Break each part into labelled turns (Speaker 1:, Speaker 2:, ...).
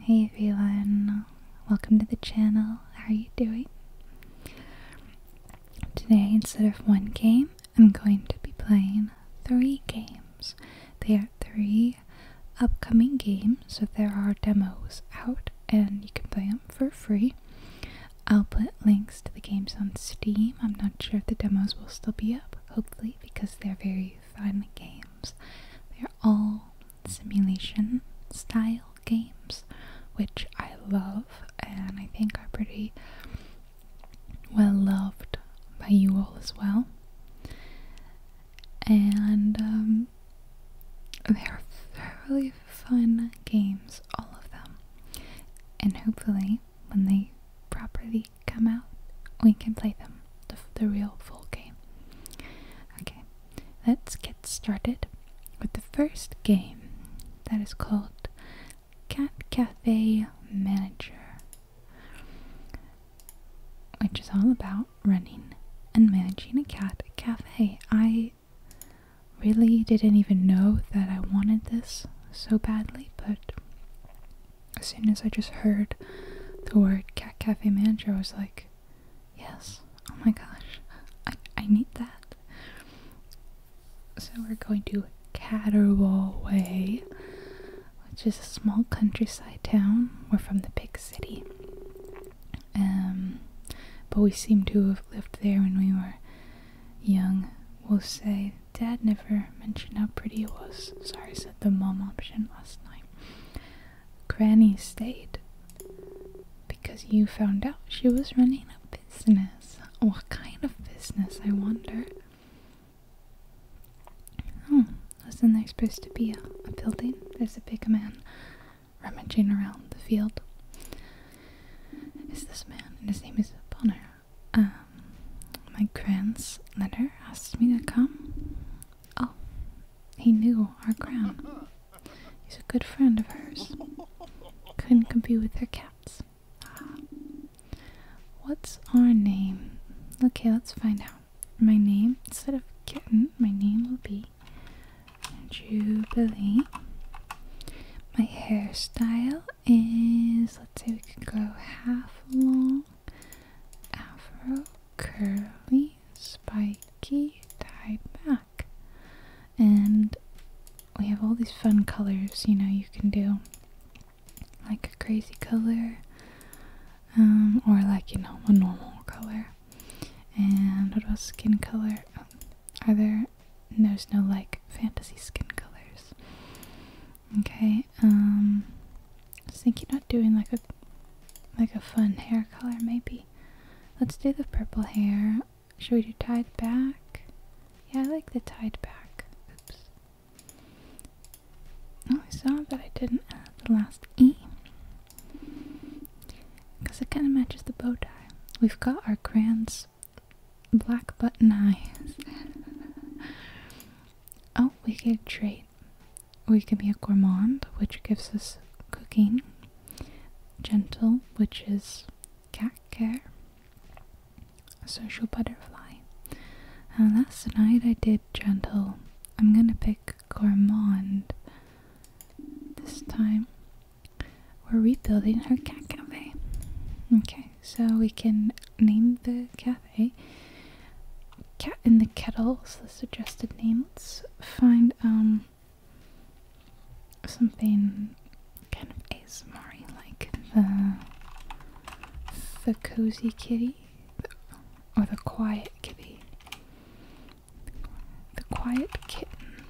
Speaker 1: Hey everyone, welcome to the channel. How are you doing? Today, instead of one game, I'm going to be playing three games. They are three upcoming games, so there are demos out and you can play them for free. I'll put links to the games on Steam. I'm not sure if the demos will still be up, hopefully, because they're very you find the games. They're all simulation style games, which I love and I think are pretty well loved by you all as well. And um, they're thoroughly fun games, all of them. And hopefully, when they properly come out, we can play them, the real full game. Okay, let's get started with the first game that is called Cat Cafe Manager, which is all about running and managing a cat cafe. I really didn't even know that I wanted this so badly, but as soon as I just heard the word Cat Cafe Manager, I was like, yes, oh my gosh, I, I need that. So we're going to Catterwall Way, which is a small countryside town. We're from the big city. Um, but we seem to have lived there when we were young. We'll say, Dad never mentioned how pretty it was. Sorry, said the mom option last night. Granny stayed because you found out she was running a business. What kind of business, I wonder? Oh, wasn't there supposed to be a, building? There's a big man rummaging around the field. Is this man, and his name is Bonner. Um, my grand's letter asked me to come. Oh, he knew our crown. He's a good friend of hers. Couldn't compete with their cats. Ah. What's our name? Okay, let's find out. My name, instead of kitten, my name will be Jubilee. My hairstyle is, let's say we could go half long afro curly spiky tie back and we have all these fun colors you know you can do like a crazy color um, or like you know a normal color and what about skin color um, are there there's no like fantasy skin colors okay um I was thinking about doing like a like a fun hair color, maybe. Let's do the purple hair. Should we do tied back? Yeah, I like the tied back. Oops. Oh, I saw that I didn't add the last E. Because it kind of matches the bow tie. We've got our grand's black button eyes. oh, we could treat or you can be a gourmand, which gives us cooking, gentle, which is cat care, social butterfly. And last night I did gentle. I'm gonna pick gourmand this time. We're rebuilding her cat cafe. Okay, so we can name the cafe Cat in the Kettle is the suggested name. Let's find um something kind of ASMR like the the cozy kitty or the quiet kitty. The quiet kitten.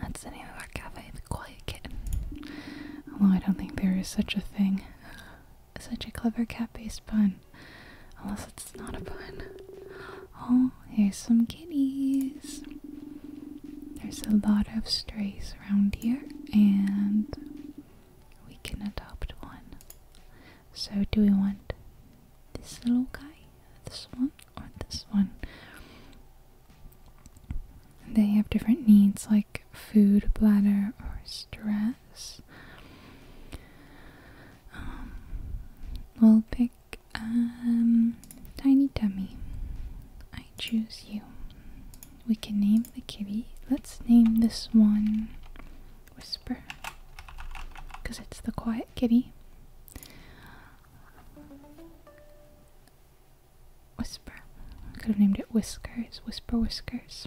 Speaker 1: That's the name of our cafe, the quiet kitten. Although I don't think there is such a thing. Such a clever cat-based pun. Unless it's not a pun. Oh, here's some kitties. There's a lot of strays around here, and we can adopt one. So, do we want this little guy, this one, or this one? They have different needs like food, bladder, or stress. Um, we'll pick um, Tiny Tummy. I choose you. We can name the kitty. Let's name this one Whisper. Because it's the quiet kitty. Whisper. could have named it Whiskers. Whisper Whiskers.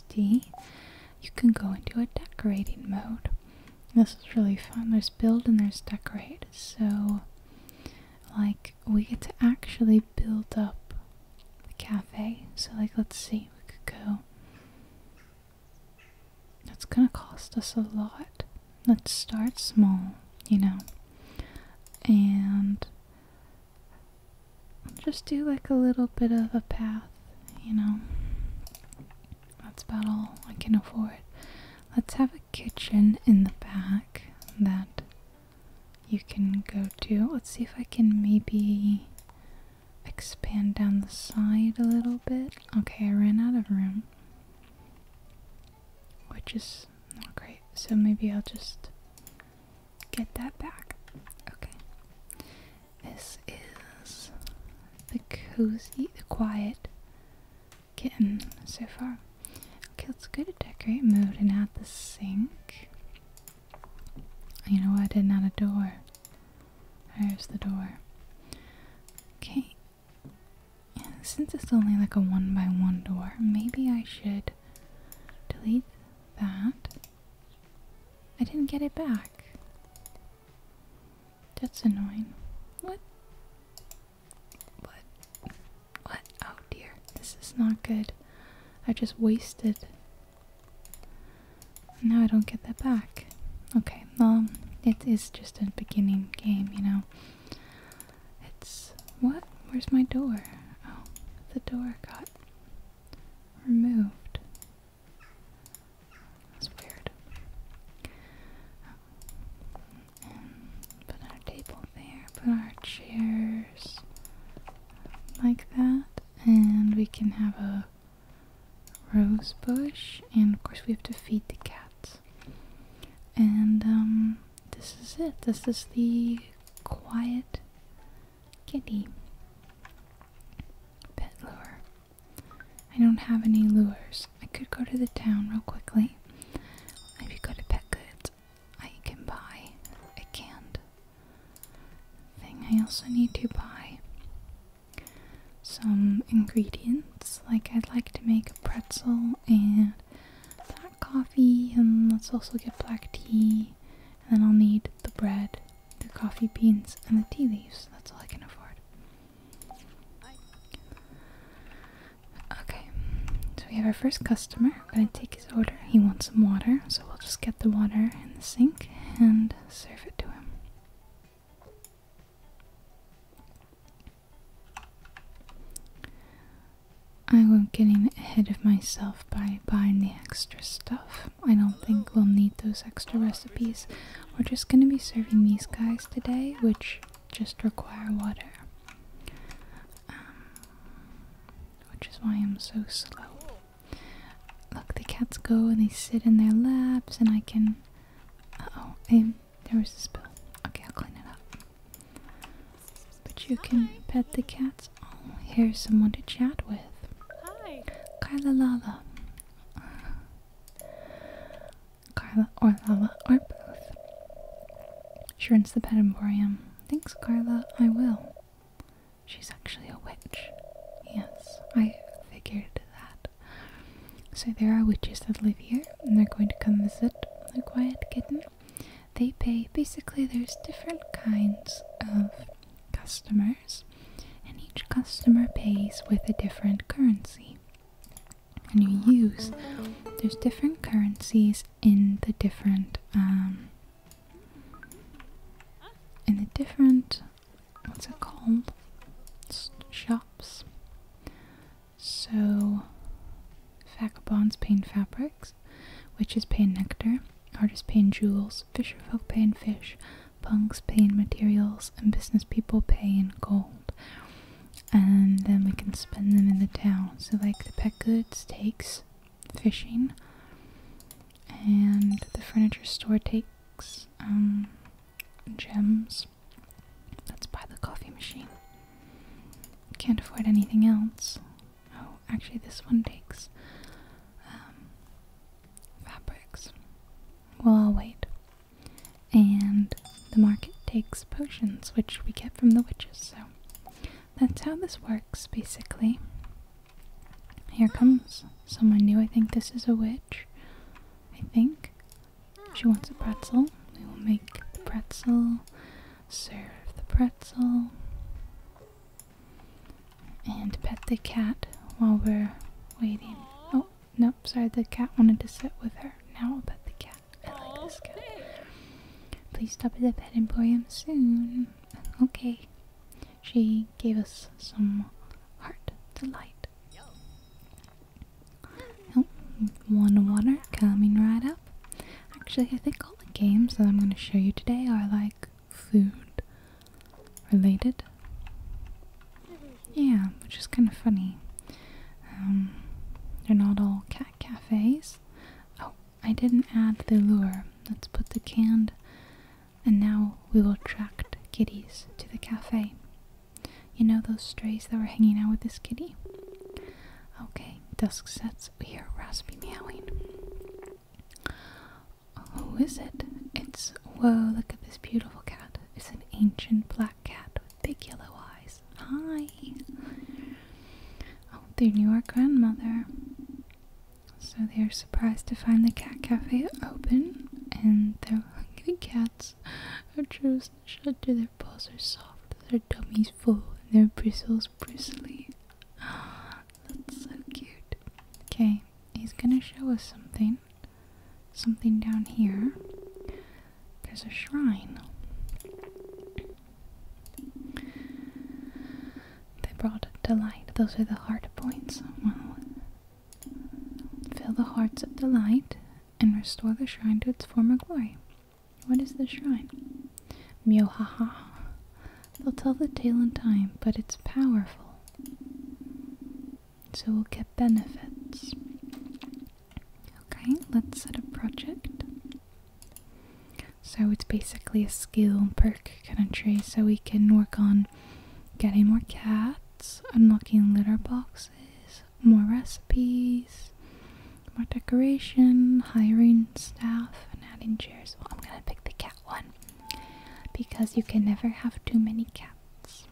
Speaker 1: D, you can go into a decorating mode. This is really fun. There's build and there's decorate. So, like, we get to actually build up the cafe. So, like, let's see, we could go. That's gonna cost us a lot. Let's start small, you know. And just do like a little bit of a path, you know. That's about all I can afford. Let's have a kitchen in the back that you can go to. Let's see if I can maybe expand down the side a little bit. Okay, I ran out of room. Which is not great. So maybe I'll just get that back. Okay. This is the cozy, the quiet kitten so far. Okay, it's good to decorate mode and add the sink. You know what? I didn't add a door. There's the door. Okay. since it's only like a one by one door, maybe I should delete that I didn't get it back. That's annoying. What? What? What? Oh dear. This is not good. I just wasted. Now I don't get that back. Okay, well, it is just a beginning game, you know. It's. What? Where's my door? Oh, the door got removed. That's weird. put our table there, put our chairs like that, and we can have a rose bush, and of course we have to feed the cats. And um, this is it. This is the quiet Kitty. Pet lure. I don't have any lures. I could go to the town real quickly. If you go to Pet Goods, I can buy a canned thing. I also need to buy some ingredients. Like, I'd like to make a pretzel and black coffee, and let's also get black tea then I'll need the bread, the coffee beans, and the tea leaves. That's all I can afford. Okay, so we have our first customer. I'm gonna take his order. He wants some water, so we'll just get the water in the sink and serve it to him. I won't getting ahead of myself by buying the extra stuff. I don't think we'll need those extra recipes. We're just gonna be serving these guys today, which just require water. Um, which is why I'm so slow. Look, the cats go and they sit in their laps, and I can. oh, there was a spill. Okay, I'll clean it up. But you can pet the cats Oh, here's someone to chat with. Hi. Kyla Lala. Uh, Carla or Lala or both. She runs the pet emporium. Thanks, Carla. I will. She's actually a witch. Yes, I figured that. So there are witches that live here, and they're going to come visit the quiet kitten. They pay, basically, there's different kinds of customer and each customer pays with a different currency. And you use, there's different currencies in the different, um, in the different, what's it called? shops. So, vagabonds paint fabrics, which is paint nectar, artist paint jewels, materials. Fisherfolk pay in fish, punks pay in materials, and business people pay in gold. And then we can spend them in the town. So, like the pet goods takes fishing, and the furniture store takes um, gems. Let's buy the coffee machine. Can't afford anything else. Oh, actually, this one takes. Um, fabrics. Well, I'll wait. And the market takes potions, which we get from the witches, so that's how this works, basically. Here comes someone new. I think this is a witch. I think. She wants a pretzel. We will make the pretzel, serve the pretzel and pet the cat while we're waiting. Oh, nope, sorry, the cat wanted to sit with her. Now I'll pet the cat. I like this cat. Please stop at the pet emporium soon. Okay. She gave us some heart delight. Oh, one water coming right up. Actually, I think all the games that I'm going to show you today are like food related. Yeah, which is kind of funny. Um, they're not all cat cafes. Oh, I didn't add the lure. Let's put the canned, and now we will attract kitties to the cafe. You know those strays that were hanging out with this kitty? Okay, dusk sets. We hear Raspy meowing. Who is it? It's. Whoa, look at this beautiful cat. It's an ancient black cat with big yellow eyes. Hi! Oh, they knew our grandmother. So they are surprised to find the cat cafe open and their hungry cats are chosen to Their paws are soft, their tummies full, and their bristles bristly that's so cute. Okay, he's gonna show us something. Something down here. There's a shrine. They brought delight. Those are the heart points. Well, fill the hearts of delight and restore the shrine to its former glory. What is the shrine? Myohaha. They'll tell the tale in time, but it's powerful. So we'll get benefits. Okay, let's set a project. So it's basically a skill perk country, so we can work on getting more cats, unlocking litter boxes, more recipes, more decoration, hiring staff, and adding chairs. Well, I'm gonna pick the cat one because you can never have too many cats.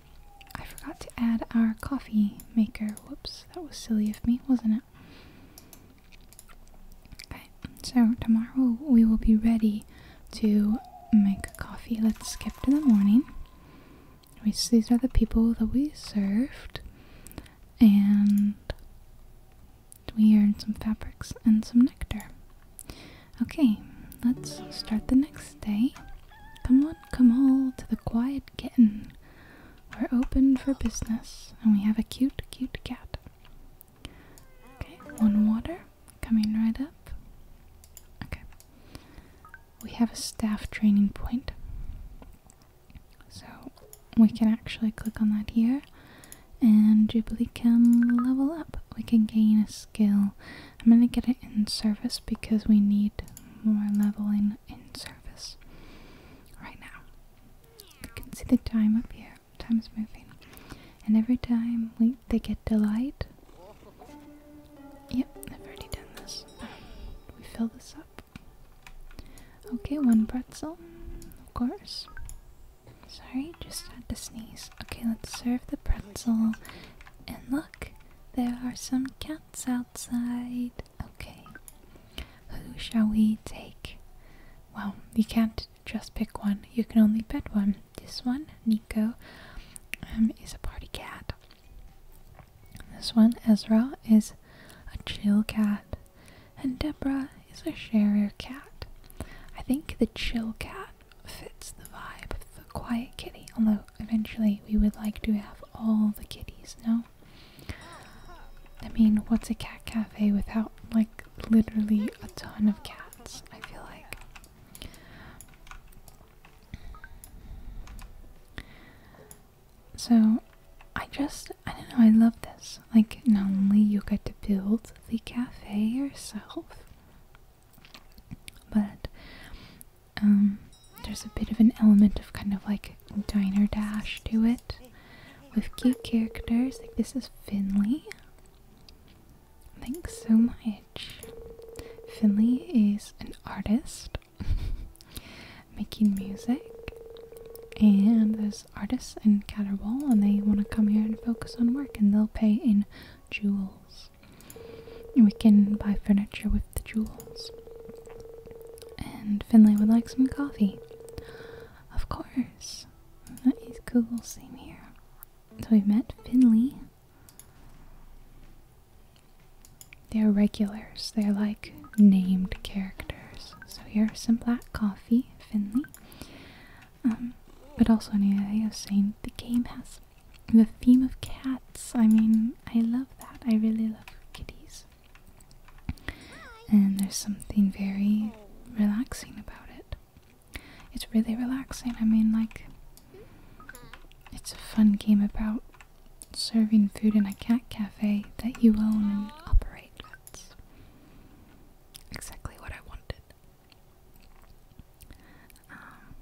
Speaker 1: I forgot to add our coffee maker. Whoops, that was silly of me, wasn't it? Okay, so tomorrow we will be ready to make coffee. Let's skip to the morning. These are the people that we served, and we earned some fabrics and some nectar. Okay, let's start the next day. Come on, come all to the quiet kitten. We're open for business, and we have a cute, cute cat. Okay, one water coming right up. Okay, we have a staff training point. So we can actually click on that here. And Jubilee can level up. We can gain a skill I'm going to get it in service because we need more leveling in service right now. You can see the time up here. Time's moving. And every time we they get delight. Yep, I've already done this. Um, we fill this up. Okay, one pretzel, of course. Sorry, just had to sneeze. Okay, let's serve the pretzel. And look, there are some cats outside. Okay, who shall we take? Well, you can't just pick one, you can only pet one. This one, Nico, um, is a party cat. This one, Ezra, is a chill cat. And Deborah is a shyer cat. I think the chill cat fits the vibe of the quiet kitty. Although eventually we would like to have all the kitties, no? I mean, what's a cat cafe without like literally a ton of cats? I feel like. So, I just, I don't know, I love this. Like, not only you get to build the cafe yourself, but um, there's a bit of an element of kind of like diner dash to it with cute characters. Like this is Finley. Thanks so much. Finley is an artist making music. And there's artists in Catterball, and they want to come here and focus on work, and they'll pay in jewels we can buy furniture with the jewels. And Finlay would like some coffee. Of course. That is cool, same here. So we met Finley. They're regulars. They're like named characters. So here's some black coffee, Finley. Um, but also an idea of saying the game has the theme of cats. I mean, I love that. I really love kitties. And there's something very relaxing about it. It's really relaxing. I mean, like, it's a fun game about serving food in a cat cafe that you own and operate. That's exactly what I wanted. Um,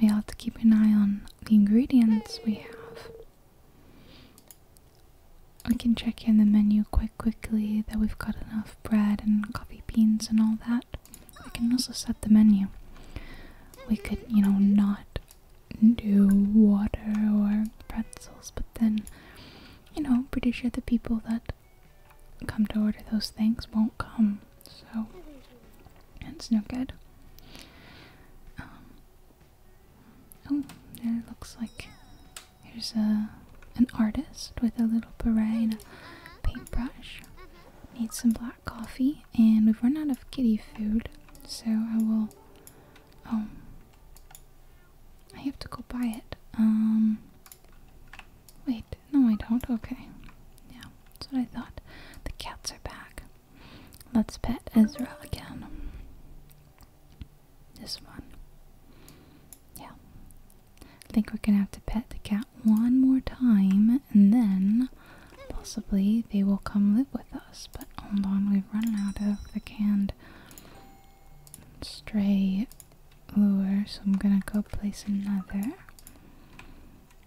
Speaker 1: we have to keep an eye on the ingredients we have. We can check in the menu quite quickly that we've got enough bread and coffee beans and all that. We can also set the menu. We could, you know, not do water or pretzels, but then, you know, I'm pretty sure the people that come to order those things won't come, so it's no good. Um, oh, it looks like there's a an artist with a little beret and a paintbrush. Need some black coffee, and we've run out of kitty food, so I will. Oh, I have to go buy it. Um, wait. No, I don't. Okay. Yeah, that's what I thought. The cats are back. Let's pet Ezra again. This one. Yeah. I think we're gonna have to pet the cat one more time and then possibly they will come live with us. But hold on, we've run out of the canned stray lure, so I'm gonna go place another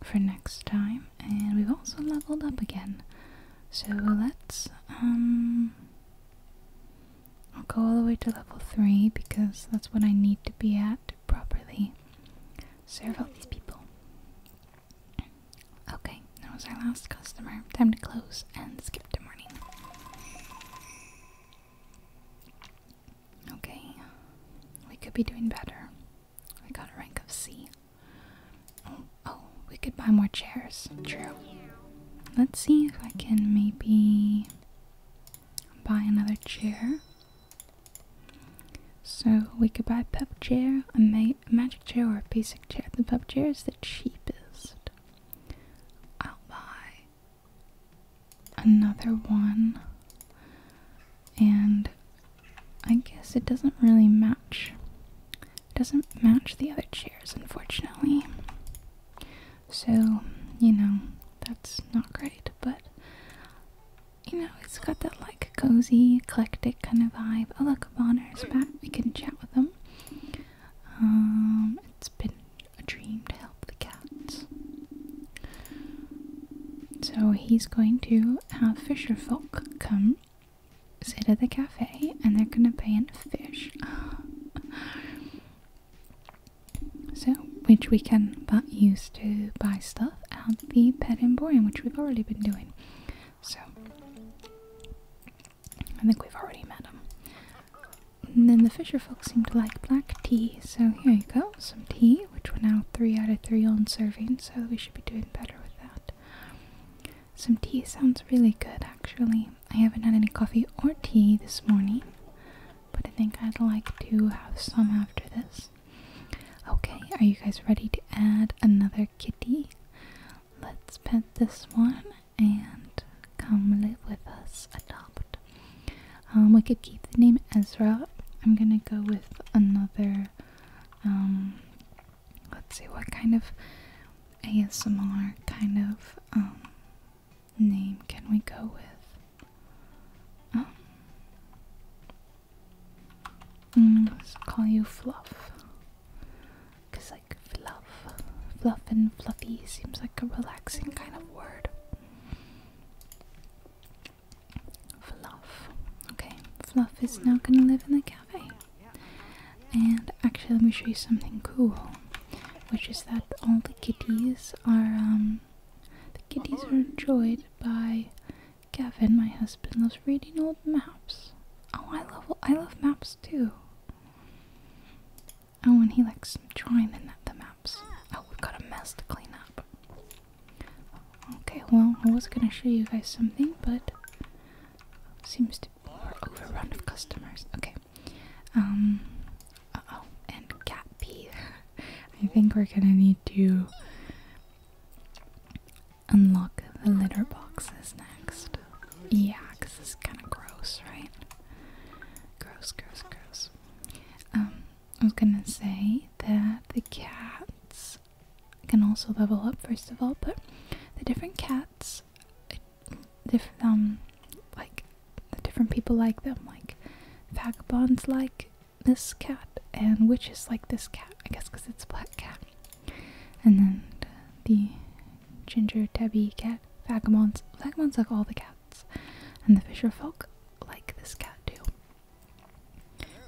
Speaker 1: for next time. And we've also leveled up again. So let's, um, I'll go all the way to level 3 because that's what I need to be at properly serve all these people. Okay, that was our last customer. Time to close and skip to morning. Okay, we could be doing better. We got a rank of C. Oh, oh, we could buy more chairs. True. Let's see if I can maybe buy another chair. So we could buy a pub chair, a magic chair, or a basic chair. The pub chair is the cheapest. I'll buy another one, and I guess it doesn't really match. It doesn't match the other chairs, unfortunately. So, you know, that's not great, but you know, it's got that like cozy, eclectic kind of vibe. Oh, look, Bonner's back. We can chat with them. Um, it's been a dream to help the cats. So he's going to have Fisherfolk come sit at the cafe and they're gonna paint fish. so, which we can use to buy stuff at the pet emporium, which we've already been doing. So, I think we've already met them. And then the Fisherfolk seem to like black tea, so here you go, some tea which were now 3 out of 3 on serving, so we should be doing better with that. Some tea sounds really good actually. I haven't had any coffee or tea this morning, but I think I'd like to have some after this. Okay, are you guys ready to add another kitty? Let's pet this one and come live with us, adopt. Um, we could keep the name Ezra. I'm gonna go with another. Um, let's see what kind of ASMR kind of um, name can we go with? let's call you Fluff. Cause like fluff, fluff and fluffy seems like a relaxing kind of word. Fluff. Okay, Fluff is now gonna live in the cafe. And actually, let me show you something cool, which is that all the kitties are um, the kitties are enjoyed by Gavin, my husband. Loves reading old maps. Oh, I love I love maps too. Oh, and he likes drawing the, the maps. Oh, we've got a mess to clean up. Okay, well, I was gonna show you guys something, but seems to be overrun of customers. Okay. Um. oh, and cat pee. I think we're gonna need to unlock the litter boxes next. Yeah, because it's kind of gross, right? Gross, gross, gross. Um, I was gonna say that the cats can also level up, first of all, but the different cats, diff um, like the different people like them, like vagabonds like this cat, and witches like this cat, I guess because it's a black cat. And then the ginger tabby cat, vagabonds, vagabonds like all the cats, and the fisher folk like this cat too.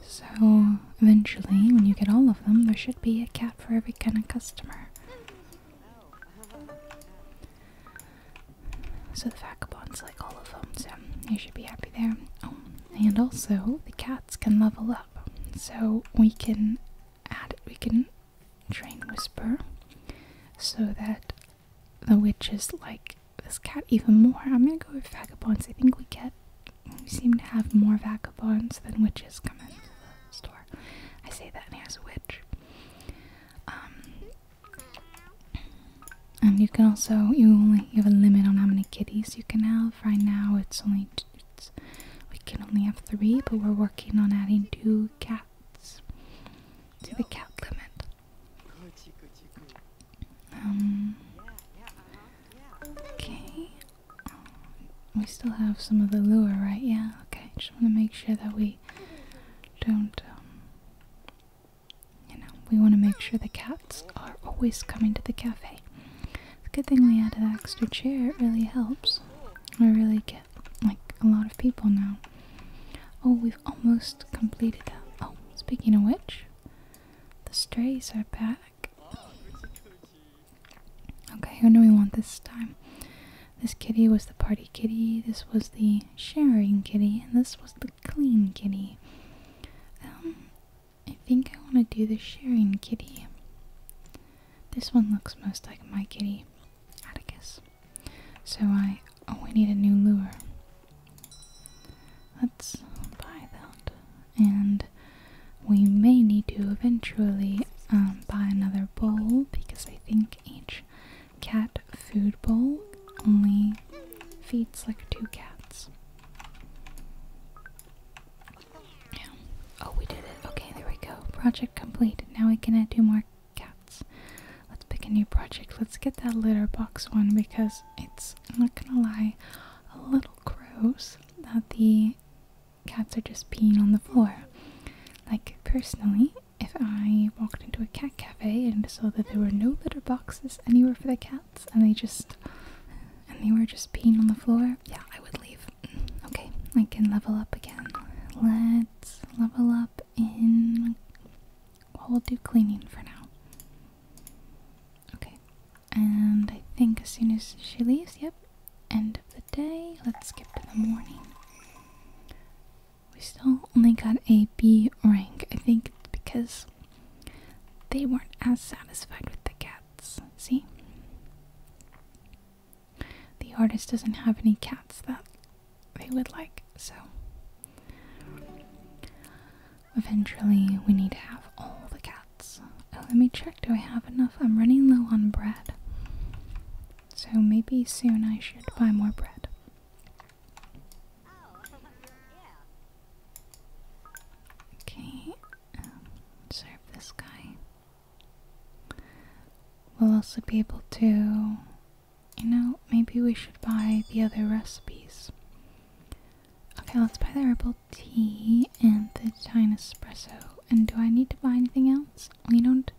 Speaker 1: So, eventually, when you get all of them, there should be a cat for every kind of customer. So, the vagabonds like all of them, so you should be happy there. Oh, and also, the cats can level up. So, we can add it, we can train Whisper so that the witches like this cat even more. I'm gonna go with vagabonds. I think we get we seem to have more vagabonds than witches come into the store. I say that and here's a witch. Um, and you can also you only you have a limit on how many kitties you can have. Right now it's only it's, we can only have three, but we're working on adding two cats to the cat limit. Um. Uh-huh, okay. Um, we still have some of the lure, right? Yeah. Okay. Just want to make sure that we don't. Um, you know, we want to make sure the cats are always coming to the cafe. It's a good thing we added that extra chair. It really helps. I really get like a lot of people now. Oh, we've almost completed Oh, speaking of which, the strays are back. Okay, who do we want this time? This kitty was the party kitty, this was the sharing kitty, and this was the clean kitty. Um, I think I want to do the sharing kitty. This one looks most like my kitty, Atticus. So I. Oh, we need a new lure. Let's buy that. And we may need to eventually um, buy another bowl because I think each cat food bowl only feeds like two cats. Yeah. Oh, we did it. Okay, there we go. Project complete. Now we can add two more cats. Let's pick a new project. Let's get that litter box one because it's, I'm not gonna lie, a little little gross that the cats are just peeing on the floor. Like, personally, if I walked into a cat cafe and saw that there were no litter boxes anywhere for the cats and they just and they were just peeing on the floor, yeah, I would leave. Okay, I can level up again. Let's level up in well, we'll do cleaning for now. Okay, and I think as soon as she leaves, yep, end of the day. Let's skip to the morning. We still only got a B rank. I think because they weren't as satisfied with the cats. See? The artist doesn't have any cats that they would like, so. Eventually, we need to have all the cats. Oh, let me check. Do I have enough? I'm running low on bread. So maybe soon I should buy more bread. Okay, um, serve this guy. We'll also be able to, you know, maybe we should buy the other recipes. Okay, let's buy the herbal tea and the China espresso. And do I need to buy anything else? We don't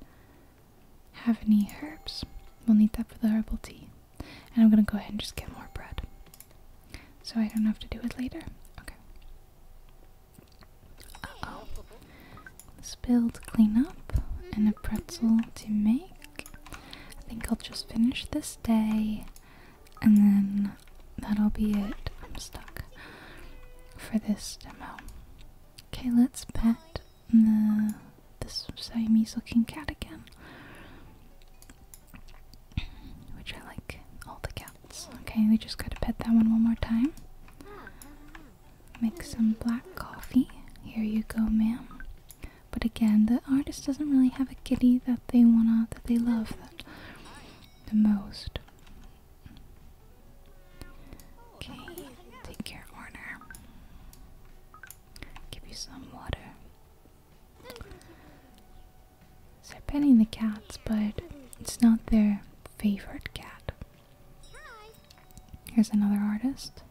Speaker 1: have any herbs. We'll need that for the herbal tea. And I'm gonna go ahead and just get more bread. So I don't have to do it later. Okay. Uh oh. Spill clean up and a pretzel to make. I think I'll just finish this day and then that'll be it. I'm stuck for this demo. Okay, let's pet the this Siamese looking cat again. Which I like all the cats. Okay, we just gotta pet that one one more time. Make some black coffee. Here you go, ma'am. But again, the artist doesn't really have a kitty that they wanna that they love the most. Okay, take your order. Give you some water. So they're petting the cats, but it's not their favorite cat. Here's another artist.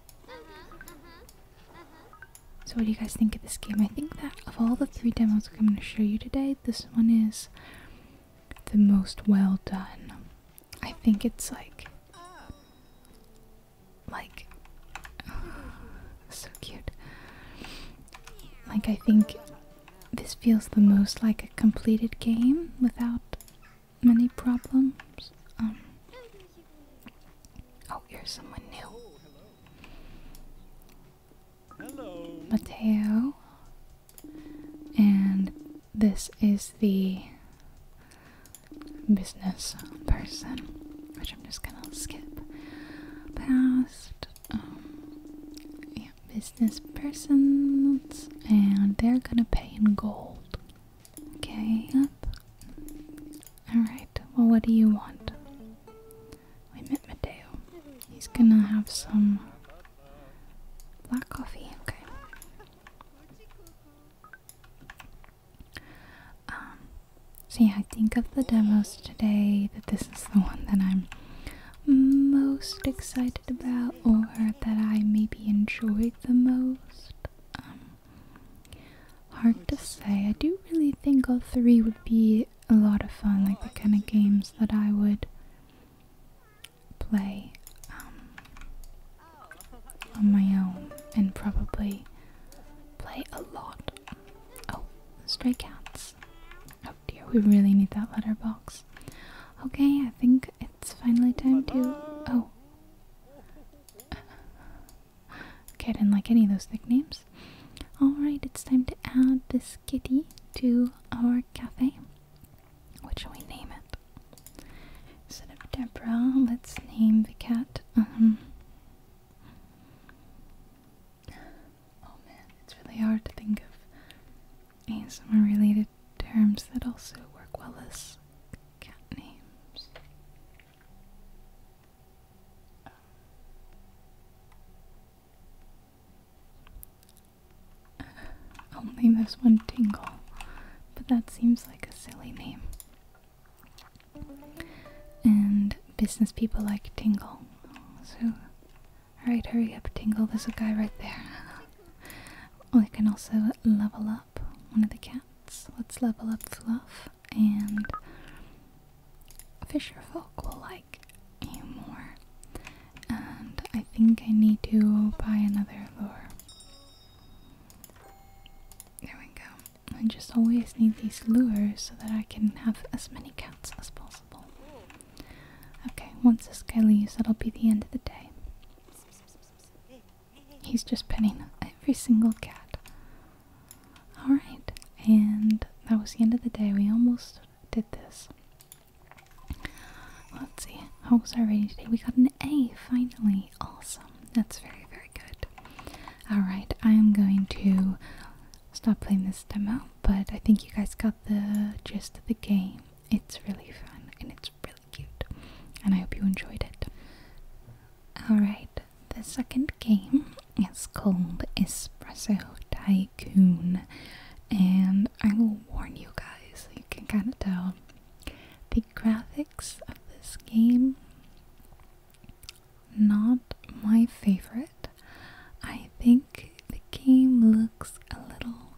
Speaker 1: So what do you guys think of this game? I think that of all the three demos I'm going to show you today, this one is the most well done. I think it's like like so cute. Like I think this feels the most like a completed game without many problems. Um Oh, here's someone new. Hello. Mateo. And this is the business person, which I'm just gonna skip past. Um, business persons, and they're gonna pay in gold. Okay, up. Alright, well, what do you want? we met Mateo. He's gonna have some black coffee, okay. Um, so yeah, I think of the demos today that this is the one that I'm most excited about or that I maybe enjoyed the most. Um, hard to say. I do really think all three would be a lot of fun, like the kind of games that I would play um, on my own and probably play a lot. Oh, stray cats. Oh dear, we really need that letterbox. Okay, I think it's finally time to. Oh. Okay, I didn't like any of those nicknames. Alright, it's time to add this kitty to our cafe. What shall we name it? Instead of Deborah, let's name the cat. Um, oh man, it's really hard to think of ASMR related terms that also work well as cat names. I'll name this one Tingle, but that seems like a silly name. And business people like Tingle. So, alright, hurry up, Tingle. There's a guy right there. we can also level up one of the cats. Let's level up Fluff, and Fisherfolk will like like you more. And I think I need to buy another lure. There we go. I just always need these lures so that I can have as many cats as possible. Okay, once this guy leaves, that'll be the end of the day. He's just petting every single cat. Alright, and that was the end of the day. We almost did this. Let's see. How oh, was our rating today? We got an A finally. Awesome. That's very, very good. Alright, I am going to stop playing this demo, but I think you guys got the gist of the game. It's really fun and it's really cute. And I hope you enjoyed it. Alright, the second game it's called Espresso Tycoon, and I will warn you guys, you can kind of tell the graphics of this game not my favorite. I think the game looks a little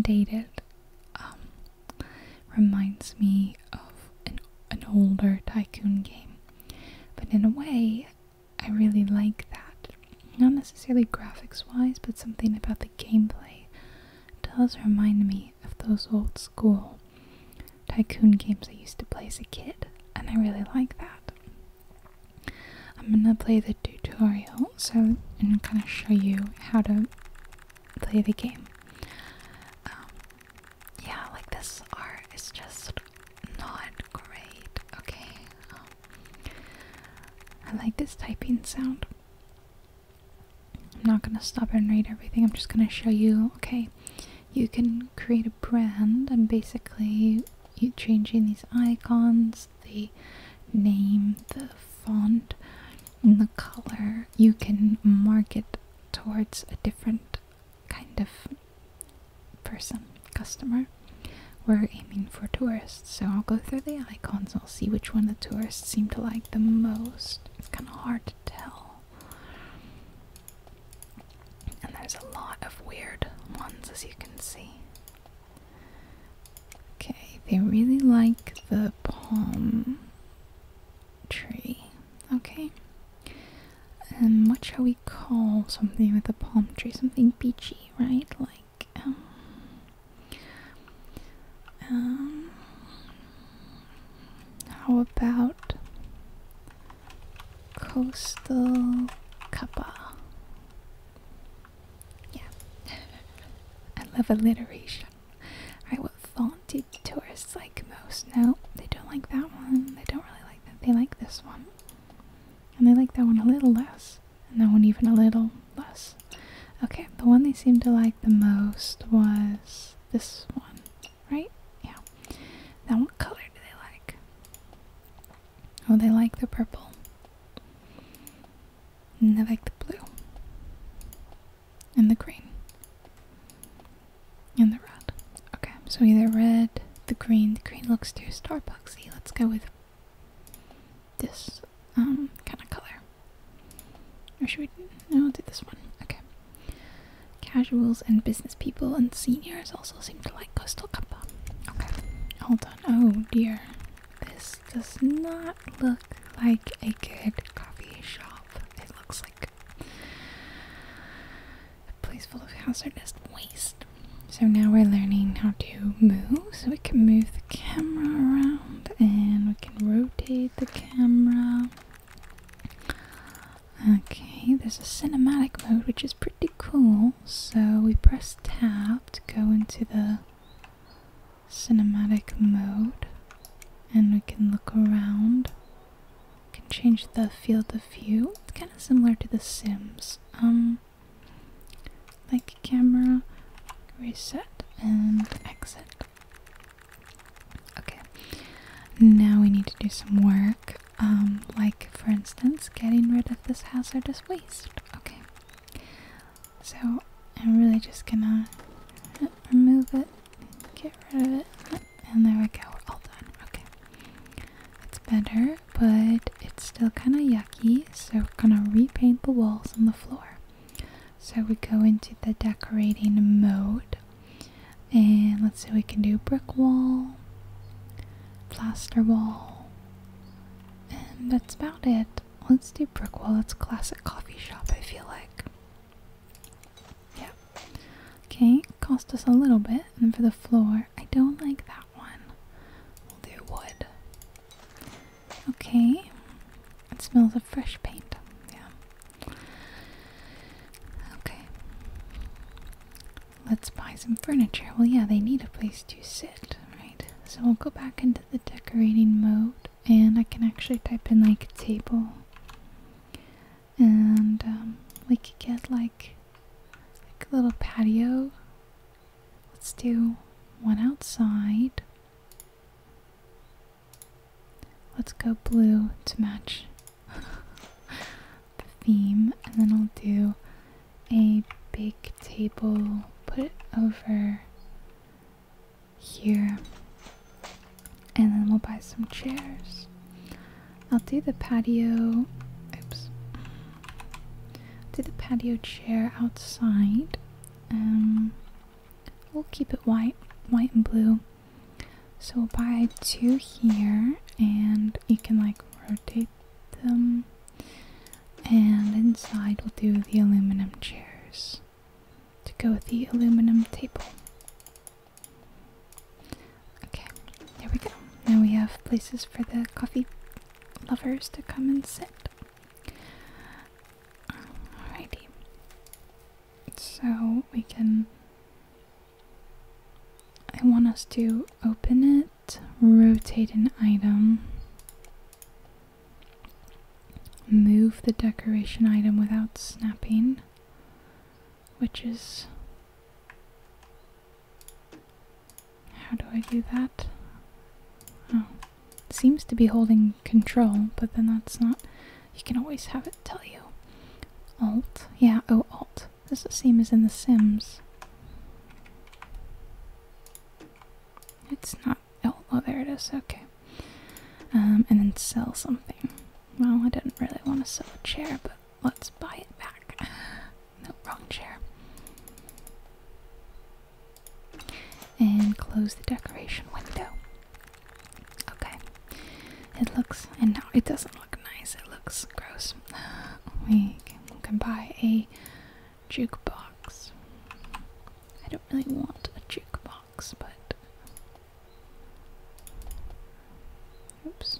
Speaker 1: dated. Um, reminds me of an an older tycoon game, but in a way, I really like that. Not necessarily graphics wise, but something about the gameplay does remind me of those old school tycoon games I used to play as a kid, and I really like that. I'm gonna play the tutorial so and kind of show you how to play the game. Um, yeah, like this art is just not great. Okay. I like this typing sound. I'm not gonna stop and read everything. I'm just gonna show you. Okay, you can create a brand, and basically, you changing these icons, the name, the font, and the color. You can market towards a different kind of person, customer. We're aiming for tourists, so I'll go through the icons I'll see which one the tourists seem to like the most. It's kind of hard to tell. And there's a lot of weird ones, as you can see. Okay, they really like the palm tree. Okay. And what shall we call something with a palm tree? Something beachy, right? Like um, um, how about coastal kappa? Yeah. I love alliteration. Alright, what font did tourists like most? No, they don't like that one. They don't really like that. They like this one. And they like that one a little less and that one even a little less. Okay, the one they seemed to like the most was this one, right? Yeah. Now, what color do they like? Oh, they like the purple. And they like the blue. And the green. And the red. Okay, so either red, the green. The green looks too Starbucksy. Let's go with this um, kind of color. Or should we? No, we'll do this one. Okay. Casuals and business people and seniors also seem to like Coastal Kappa. Okay, hold on. Oh dear, this does not look like a good coffee shop. It looks like a place full of hazardous waste. So now we're learning how to move. So we can move the camera around and we can rotate the camera. Okay, there's a cinematic mode which is pretty cool. So we press tab to go into the cinematic mode and we can look around. We can change the field of view. It's kind of similar to The Sims. Um like camera, reset and exit. Okay, now we need to do some work, um, like for instance getting rid of this hazardous waste. Okay, so I'm really just gonna remove it, get rid of it, and there we go, we're all done. Okay, that's better but it's still kind of yucky, so we're gonna repaint the walls and the floor. So we go into the decorating mode, and let's see, we can do brick wall, plaster wall, and that's about it. Let's do brick wall, it's classic coffee shop, I feel like. Yeah. Okay, cost us a little bit, and for the floor, I don't like that one. We'll do wood. Okay. It smells of fresh paint. Yeah. Okay. Let's buy some furniture. Well, yeah, they need a place to sit, right? So we'll go back into the decorating mode and I can actually type in like table. And um, we could get like, like a little patio Let's do one outside. Let's go blue to match the theme, and then I'll do a big table, put it over here, and then we'll buy some chairs. I'll do the patio. Oops do the patio chair outside. Um, we'll keep it white, white and blue. So we'll buy two here, and you can like rotate them. And inside we'll do the aluminum chairs to go with the aluminum table. Okay, there we go. Now we have places for the coffee lovers to come and sit. Alrighty. So we can. I want us to open it, rotate an item, move the decoration item without snapping, which is how do I do that? Oh, it seems to be holding control, but then that's not. You can always have it tell you. Alt. Yeah, oh, Alt. Does it seem as in The Sims. It's not. Oh, oh there it is. Okay. Um, and then sell something. Well, I didn't really want to sell a chair, but let's buy it back. No, wrong chair. And close the decoration window. Okay. It looks, and no, it doesn't look nice. It looks gross. We can, we can buy a jukebox. I don't really want a jukebox, but. Oops.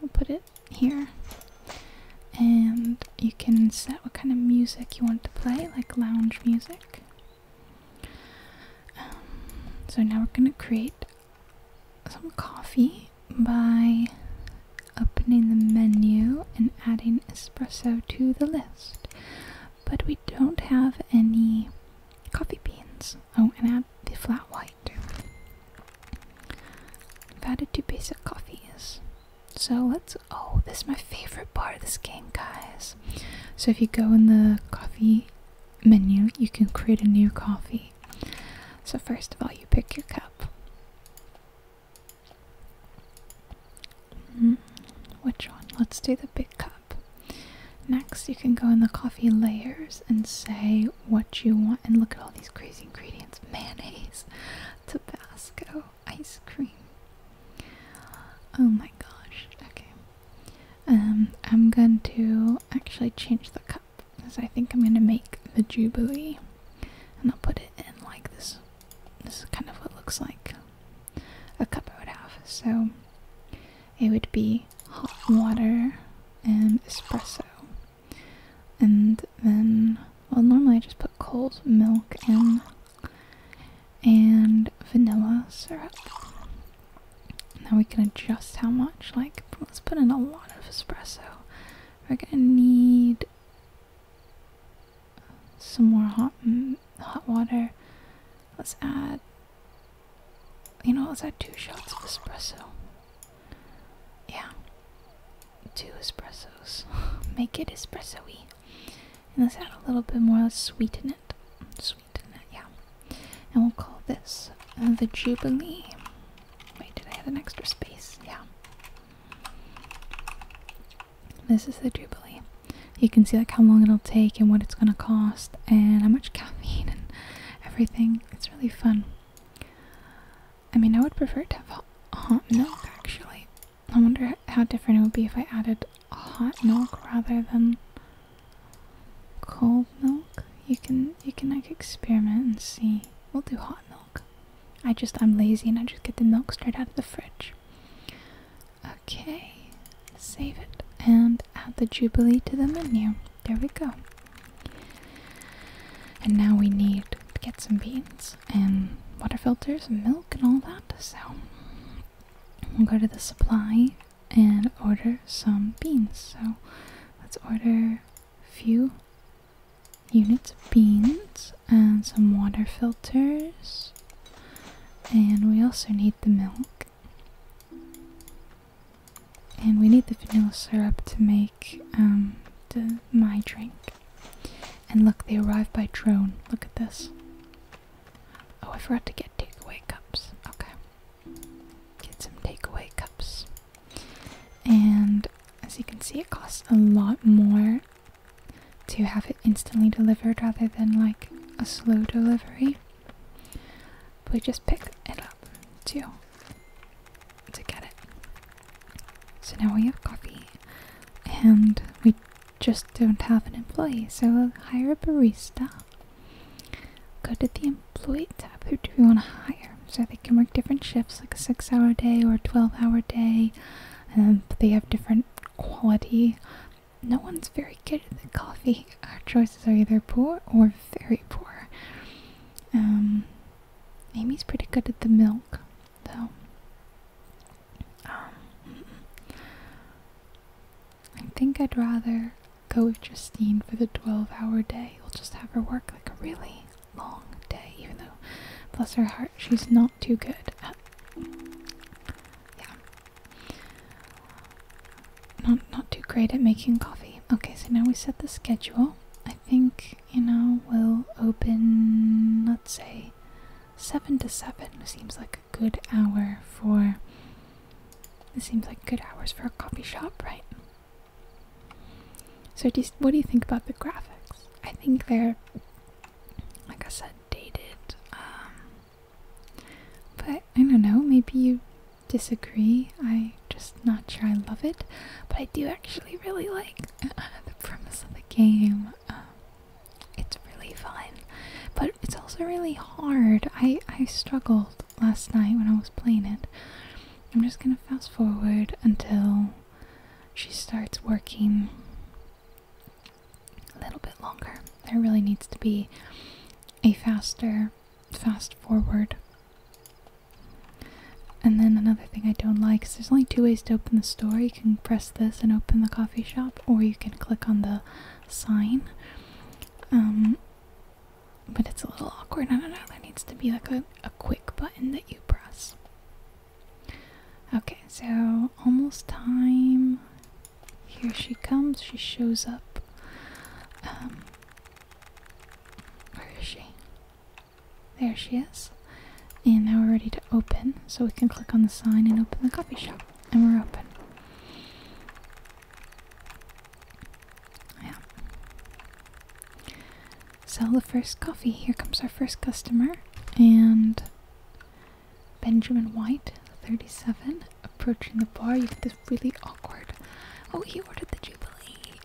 Speaker 1: We'll put it here and you can set what kind of music you want to play, like lounge music. Um, so now we're going to create some coffee by opening the menu and adding espresso to the list. But we don't have any coffee beans. Oh, and add the flat white. I've added two basic coffees. So let's. Oh, this is my favorite part of this game, guys. So if you go in the coffee menu, you can create a new coffee. So, first of all, you pick your cup. Hmm, which one? Let's do the big cup. Next, you can go in the coffee layers and say what you want. And look at all these crazy ingredients mayonnaise, Tabasco, ice cream. Oh my gosh. Okay. Um, I'm going to actually change the cup because I think I'm going to make the Jubilee and I'll put it in like this. This is kind of what looks like a cup I would have. So it would be hot water and espresso and then well, normally I just put cold milk in and vanilla syrup. Now we can adjust how much. Like, let's put in a lot of espresso. We're gonna need some more hot hot water. Let's add. You know, let's add two shots of espresso. Yeah two espressos. Make it espresso And let's add a little bit more, let's sweeten it. Sweeten it, yeah. And we'll call this uh, the Jubilee. Wait, did I have an extra space? Yeah. This is the Jubilee. You can see like how long it'll take and what it's gonna cost and how much caffeine and everything. It's really fun. I mean, I would prefer to have hot milk actually. I wonder how different it would be if I added hot milk rather than cold milk. You can you can like experiment and see. We'll do hot milk. I just I'm lazy and I just get the milk straight out of the fridge. Okay, save it and add the Jubilee to the menu. There we go. And now we need to get some beans and water filters and milk and all that. So we'll go to the supply and order some beans. So let's order a few units of beans and some water filters. And we also need the milk. And we need the vanilla syrup to make um, the, my drink. And look, they arrive by drone. Look at this. Oh, I forgot to get takeaway cups. Okay. Get some takeaway cups. And as you can see, it costs a lot more to have it instantly delivered rather than like a slow delivery. we just pick it up too to get it. So now we have coffee, and we just don't have an employee, so we'll hire a barista. Go to the employee tab. Who do we want to hire? So they can work different shifts, like a six hour day or a 12 hour day, and um, they have different quality. No one's very good at the coffee. Our choices are either poor or very poor. Um, Amy's pretty good at the milk. So, um, I think I'd rather go with Justine for the 12 hour day. We'll just have her work like a really long day, even though, bless her heart, she's not too good at. Yeah. Not, not too great at making coffee. Okay, so now we set the schedule. I think, you know, we'll open, let's say, 7 to 7 seems like a good hour for. It seems like good hours for a coffee shop, right? So, what do you think about the graphics? I think they're, like I said, dated. Um, but I don't know, maybe you disagree. I am just not sure I love it, but I do actually really like the premise of the game. Um, it's really fun, but it's also really hard. I I struggled last night when I was playing it. I'm just gonna fast forward until she starts working a little bit longer. There really needs to be a faster fast forward. And then another thing I don't like is there's only two ways to open the store. You can press this and open the coffee shop, or you can click on the sign. Um, but it's a little awkward. I don't know. There needs to be like a, quick button that you press. Okay, so almost time. Here she comes. She shows up. Um, where is she? There she is. And now we're ready to open, so we can click on the sign and open the coffee shop. And we're open. Yeah. Sell the first coffee. Here comes our first customer. And Benjamin White, 37, approaching the bar. You get this really awkward. Oh, he ordered the Jubilee.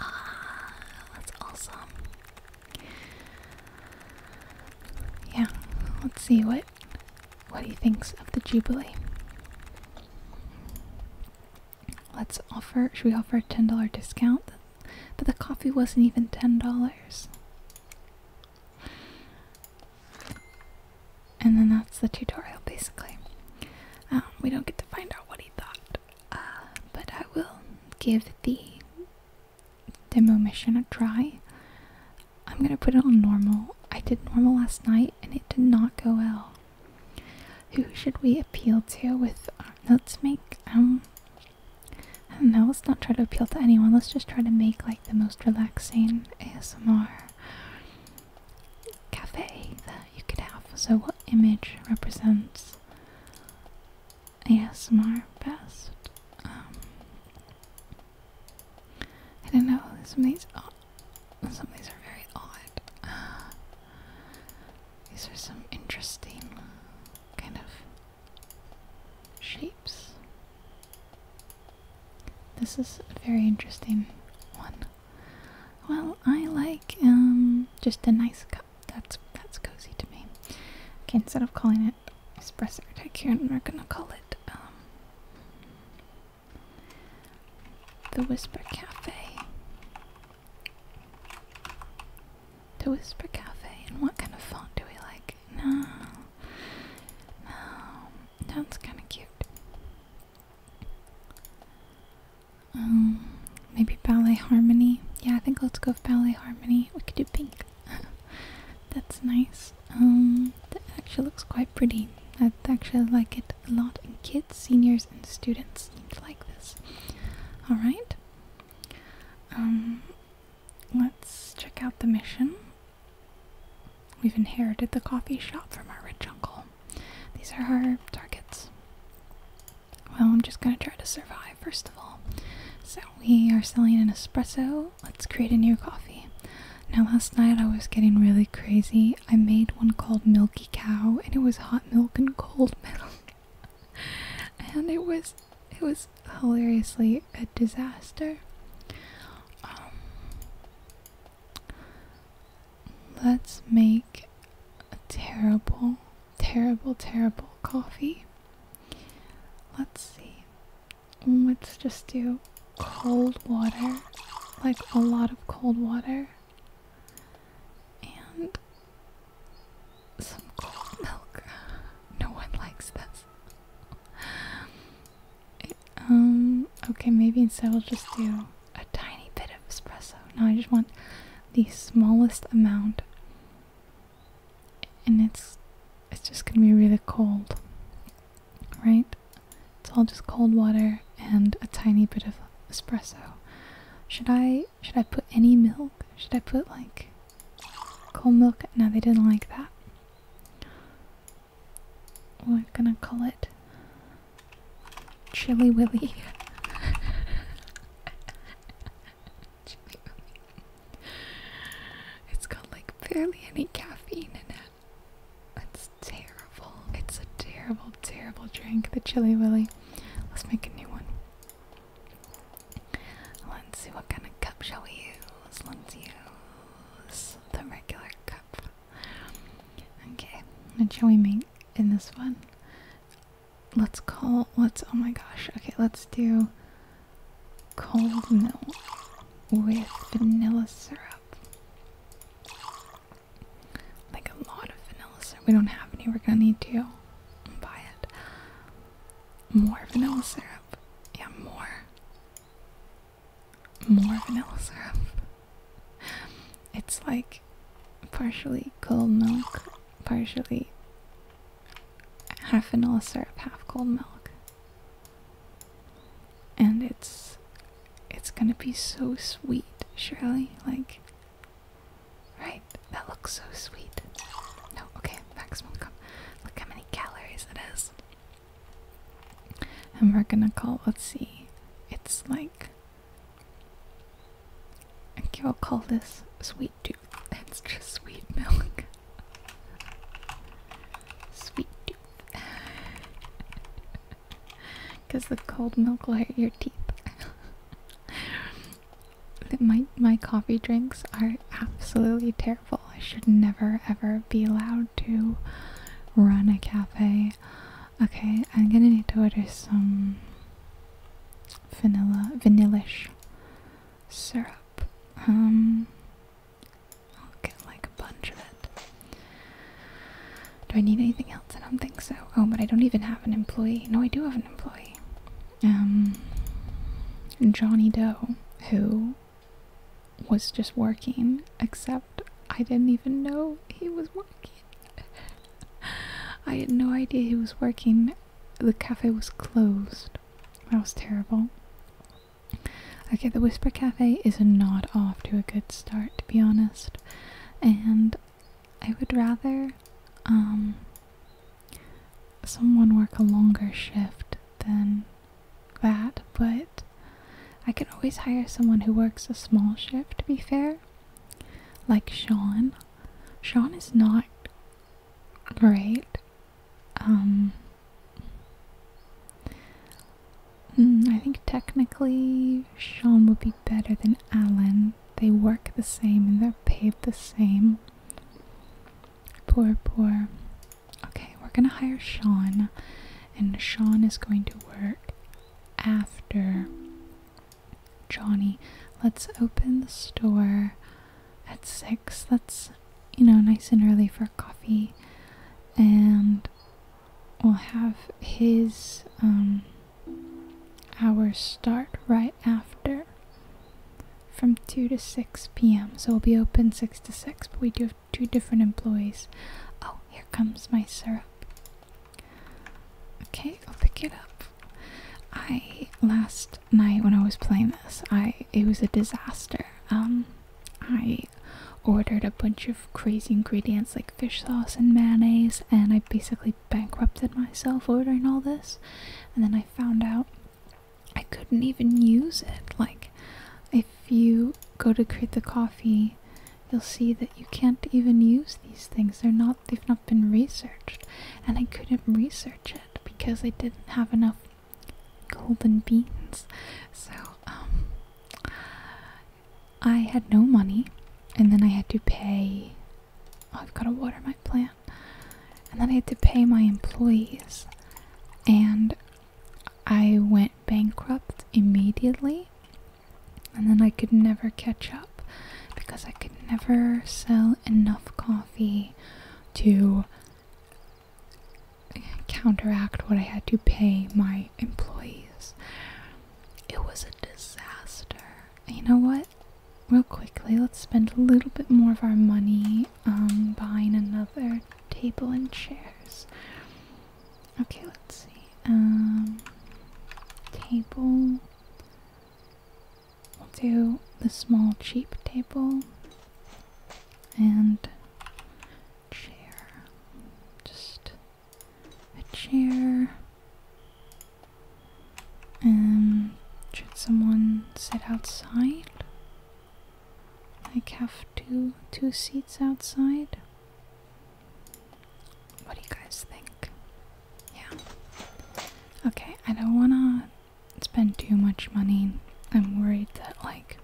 Speaker 1: Ah, that's awesome. Yeah, let's see what what he thinks of the Jubilee. Let's offer should we offer a ten dollar discount? But the coffee wasn't even ten dollars. And then that's the tutorial basically. Um, we don't get to find out what he thought, uh, but I will give the demo mission a try. I'm gonna put it on normal. I did normal last night and it did not go well. Who should we appeal to with uh, let's make um No, let's not try to appeal to anyone. Let's just try to make like the most relaxing ASMR cafe that you could have. So what image represents ASMR best. Um, I don't know. Some of these, some of these are very odd. Uh, these are some interesting kind of shapes. This is a very interesting one. Well, I like um, just a nice cup. That's that's cozy to me. Okay, instead of calling it espresso tycoon. We're gonna call it um, the Whisper Cafe. The Whisper Cafe. And what kind of font do we like? No, no, that's kind of cute. Um, maybe ballet harmony. Yeah, I think let's go with ballet harmony. We could do pink That's nice. Um, that actually looks quite pretty. I actually like it a lot. And kids, seniors, and students like this. All right. Um, let's check out the mission. We've inherited the coffee shop from our rich uncle. These are our targets. Well, I'm just gonna try to survive first of all. So we are selling an espresso. Let's create a new coffee. Now last night I was getting really crazy. I made one called Milky Cow and it was hot milk and cold milk. and it was it was hilariously a disaster. Um, let's make a terrible, terrible, terrible coffee. Let's see. Mm, let's just do cold water, like a lot of cold water, and some cold milk. No one likes this. um. Okay, maybe instead we'll just do a tiny bit of espresso. No, I just want the smallest amount and it's it's just gonna be really cold right it's all just cold water and a tiny bit of espresso should i should i put any milk should i put like cold milk no they didn't like that we're gonna call it chilly willy. It's got like barely any caffeine in it. That's terrible. It's a terrible, terrible drink, the Chili Willy. Let's make a new one. Let's see what kind of cup shall we use. Let's use the regular cup. Okay, and shall we make in this one? Let's call, let's, oh my gosh, okay, let's do cold milk with vanilla syrup. Like a lot of vanilla syrup. We don't have any. We're gonna need to buy it. More vanilla syrup. Yeah, more. More vanilla syrup. It's like partially cold milk, partially half vanilla syrup, half cold milk. And it's it's gonna be so sweet, Shirley. Like right, that looks so sweet. No, okay, maximum cup. Look how many calories it is. And we're gonna call let's see. It's like okay, I'll call this sweet tooth. It's just sweet milk. Sweet Because the cold milk will hurt your teeth. my, my coffee drinks are absolutely terrible. I should never ever be allowed to run a cafe. Okay, I'm gonna need to order some vanilla vanillaish syrup. Um I'll get like a bunch of it. Do I need anything else? I don't think so. Oh, but I don't even have an employee. No, I do have an employee. Um, Johnny Doe, who was just working, except I didn't even know he was working. I had no idea he was working. The cafe was closed. That was terrible. Okay, the Whisper Cafe is a nod off to a good start, to be honest. And I would rather um, someone work a longer shift than that, but I could always hire someone who works a small shift, to be fair. Like Sean. Sean is not great. Um, Hmm, I think technically Sean would be better than Alan. They work the same and they're paid the same. Poor, poor. Okay, we're gonna hire Sean, and Sean is going to work after Johnny. Let's open the store at 6. That's you know, nice and early for coffee, and we'll have his um, hours start right after from 2 to 6 p.m. So we'll be open 6 to 6, but we do have two different employees. Oh, here comes my syrup. Okay, I'll pick it up. I last night when I was playing this, I it was a disaster. Um, I ordered a bunch of crazy ingredients like fish sauce and mayonnaise, and I basically bankrupted myself ordering all this. And then I found out I couldn't even use it. Like, if you go to create the coffee, you'll see that you can't even use these things. They're not, they've not been researched. And I couldn't research it because I didn't have enough golden beans. So, um, I had no money, and then I had to pay. Oh, I've got to water my plant. And then I had to pay my employees. And I went bankrupt immediately. And then I could never catch up because I could never sell enough coffee to counteract what I had to pay my employees. It was a disaster. You know what? Real quickly, let's spend a little bit more of our money um, buying another table and chairs. Okay, let's see. Um, table. We'll do the small, cheap table. And chair. Just a chair. and um, should someone sit outside? I have two two seats outside? What do you guys think? Yeah. Okay, I don't wanna spend too much money. I'm worried that like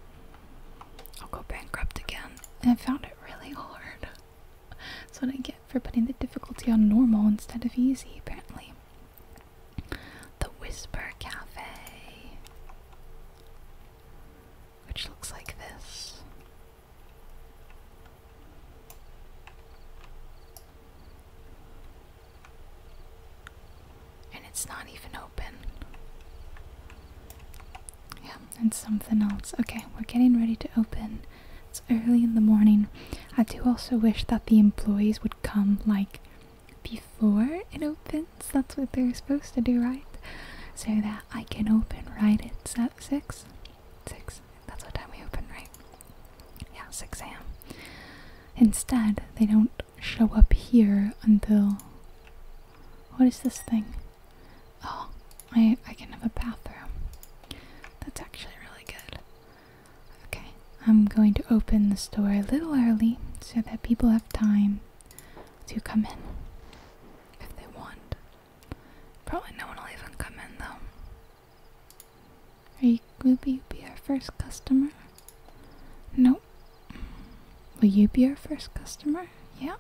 Speaker 1: I'll go bankrupt again. And I found it really hard. That's what I get for putting the difficulty on normal instead of easy, apparently. The Whisper Cafe. Which looks like this and it's not even open. Yeah, and something else. Okay, we're getting ready to open. It's early in the morning. I do also wish that the employees would come like before it opens. That's what they're supposed to do, right? So that I can open right at six. Six. That's what time we open, right? Yeah, six AM. Instead, they don't show up here until what is this thing? Oh, I I can have a bathroom. That's actually really good. Okay, I'm going to open the store a little early so that people have time to come in if they want. Probably no one will even come in though. Are you will be our first customer? Nope, Will you be our first customer? Yeah.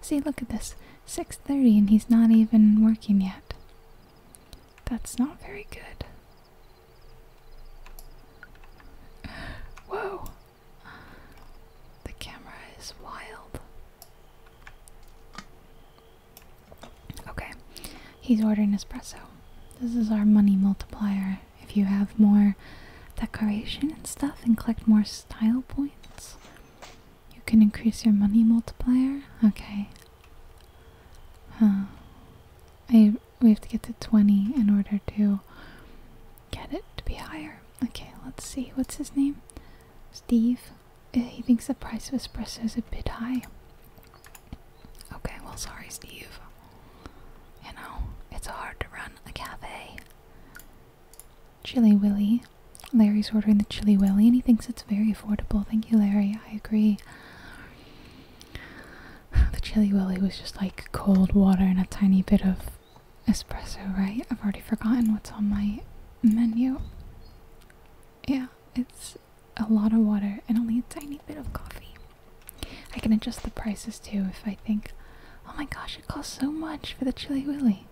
Speaker 1: See, look at this. 6.30 and he's not even working yet. That's not very good. Whoa! The camera is wild. Okay, he's ordering espresso. This is our money multiplier if you have more decoration and stuff and collect more style points. You can increase your money multiplier. Okay. Huh. I we have to get to 20 in order to get it to be higher. Okay, let's see. What's his name? Steve. Eh, he thinks the price of espresso is a bit high. Okay, well, sorry, Steve. You know, it's hard to run a cafe. Chili Willy. Larry's ordering the Chili Willy and he thinks it's very affordable. Thank you, Larry. I agree. The Chili Willy was just like cold water and a tiny bit of espresso, right? I've already forgotten what's on my menu. Yeah, it's a lot of water and only a tiny bit of coffee. I can adjust the prices too if I think Oh my gosh, it costs so much for the Chili Willy.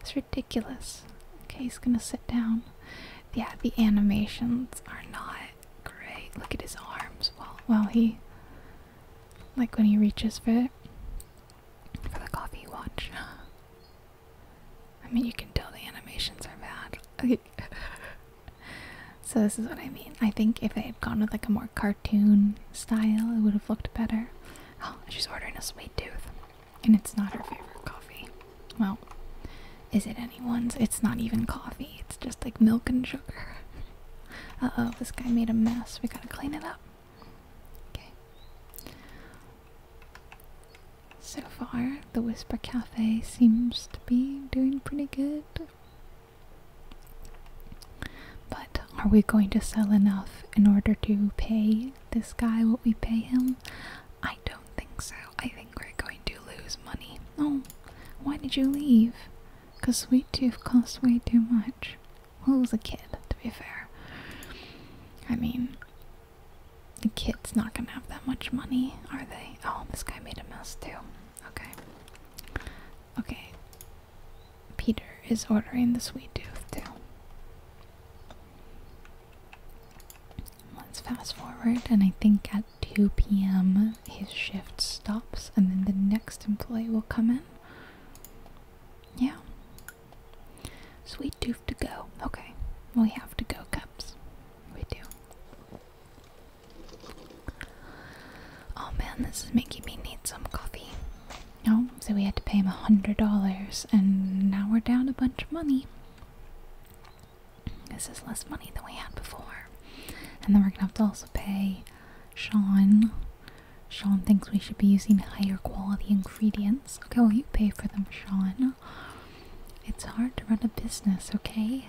Speaker 1: It's ridiculous. Okay, he's gonna sit down. Yeah, the animations are not great. Look at his arms while while he like when he reaches for for the coffee watch. I mean you can tell the animations are bad. Okay, so this is what I mean. I think if they gone with like a more cartoon style, it would have looked better. Oh, she's ordering a sweet tooth. And it's not her favorite coffee. Well, is it anyone's? It's not even coffee, it's just like milk and sugar. Uh oh, this guy made a mess. We gotta clean it up. Okay. So far, the Whisper Cafe seems to be doing pretty good. But are we going to sell enough in order to pay this guy what we pay him? I don't think so. I think we're going to lose money. Oh, why did you leave? Because Sweet Tooth costs way too much. Well, was a kid, to be fair. I mean, the kid's not gonna have that much money, are they? Oh, this guy made a mess too. Okay. Okay. Peter is ordering the sweet tooth too. Let's fast forward, and I think at 2 p.m. his shift stops, and then the next employee will come in. Yeah. Sweet tooth to go. Okay. We have to go cups. We do. Oh man, this is making me need some coffee. No, oh, so we had to pay him a hundred dollars, and now we're down a bunch of money. This is less money than we had before. And then we're gonna have to also pay Sean. Sean thinks we should be using higher quality ingredients. Okay, well, you pay for them, Sean. It's hard to run a business, okay?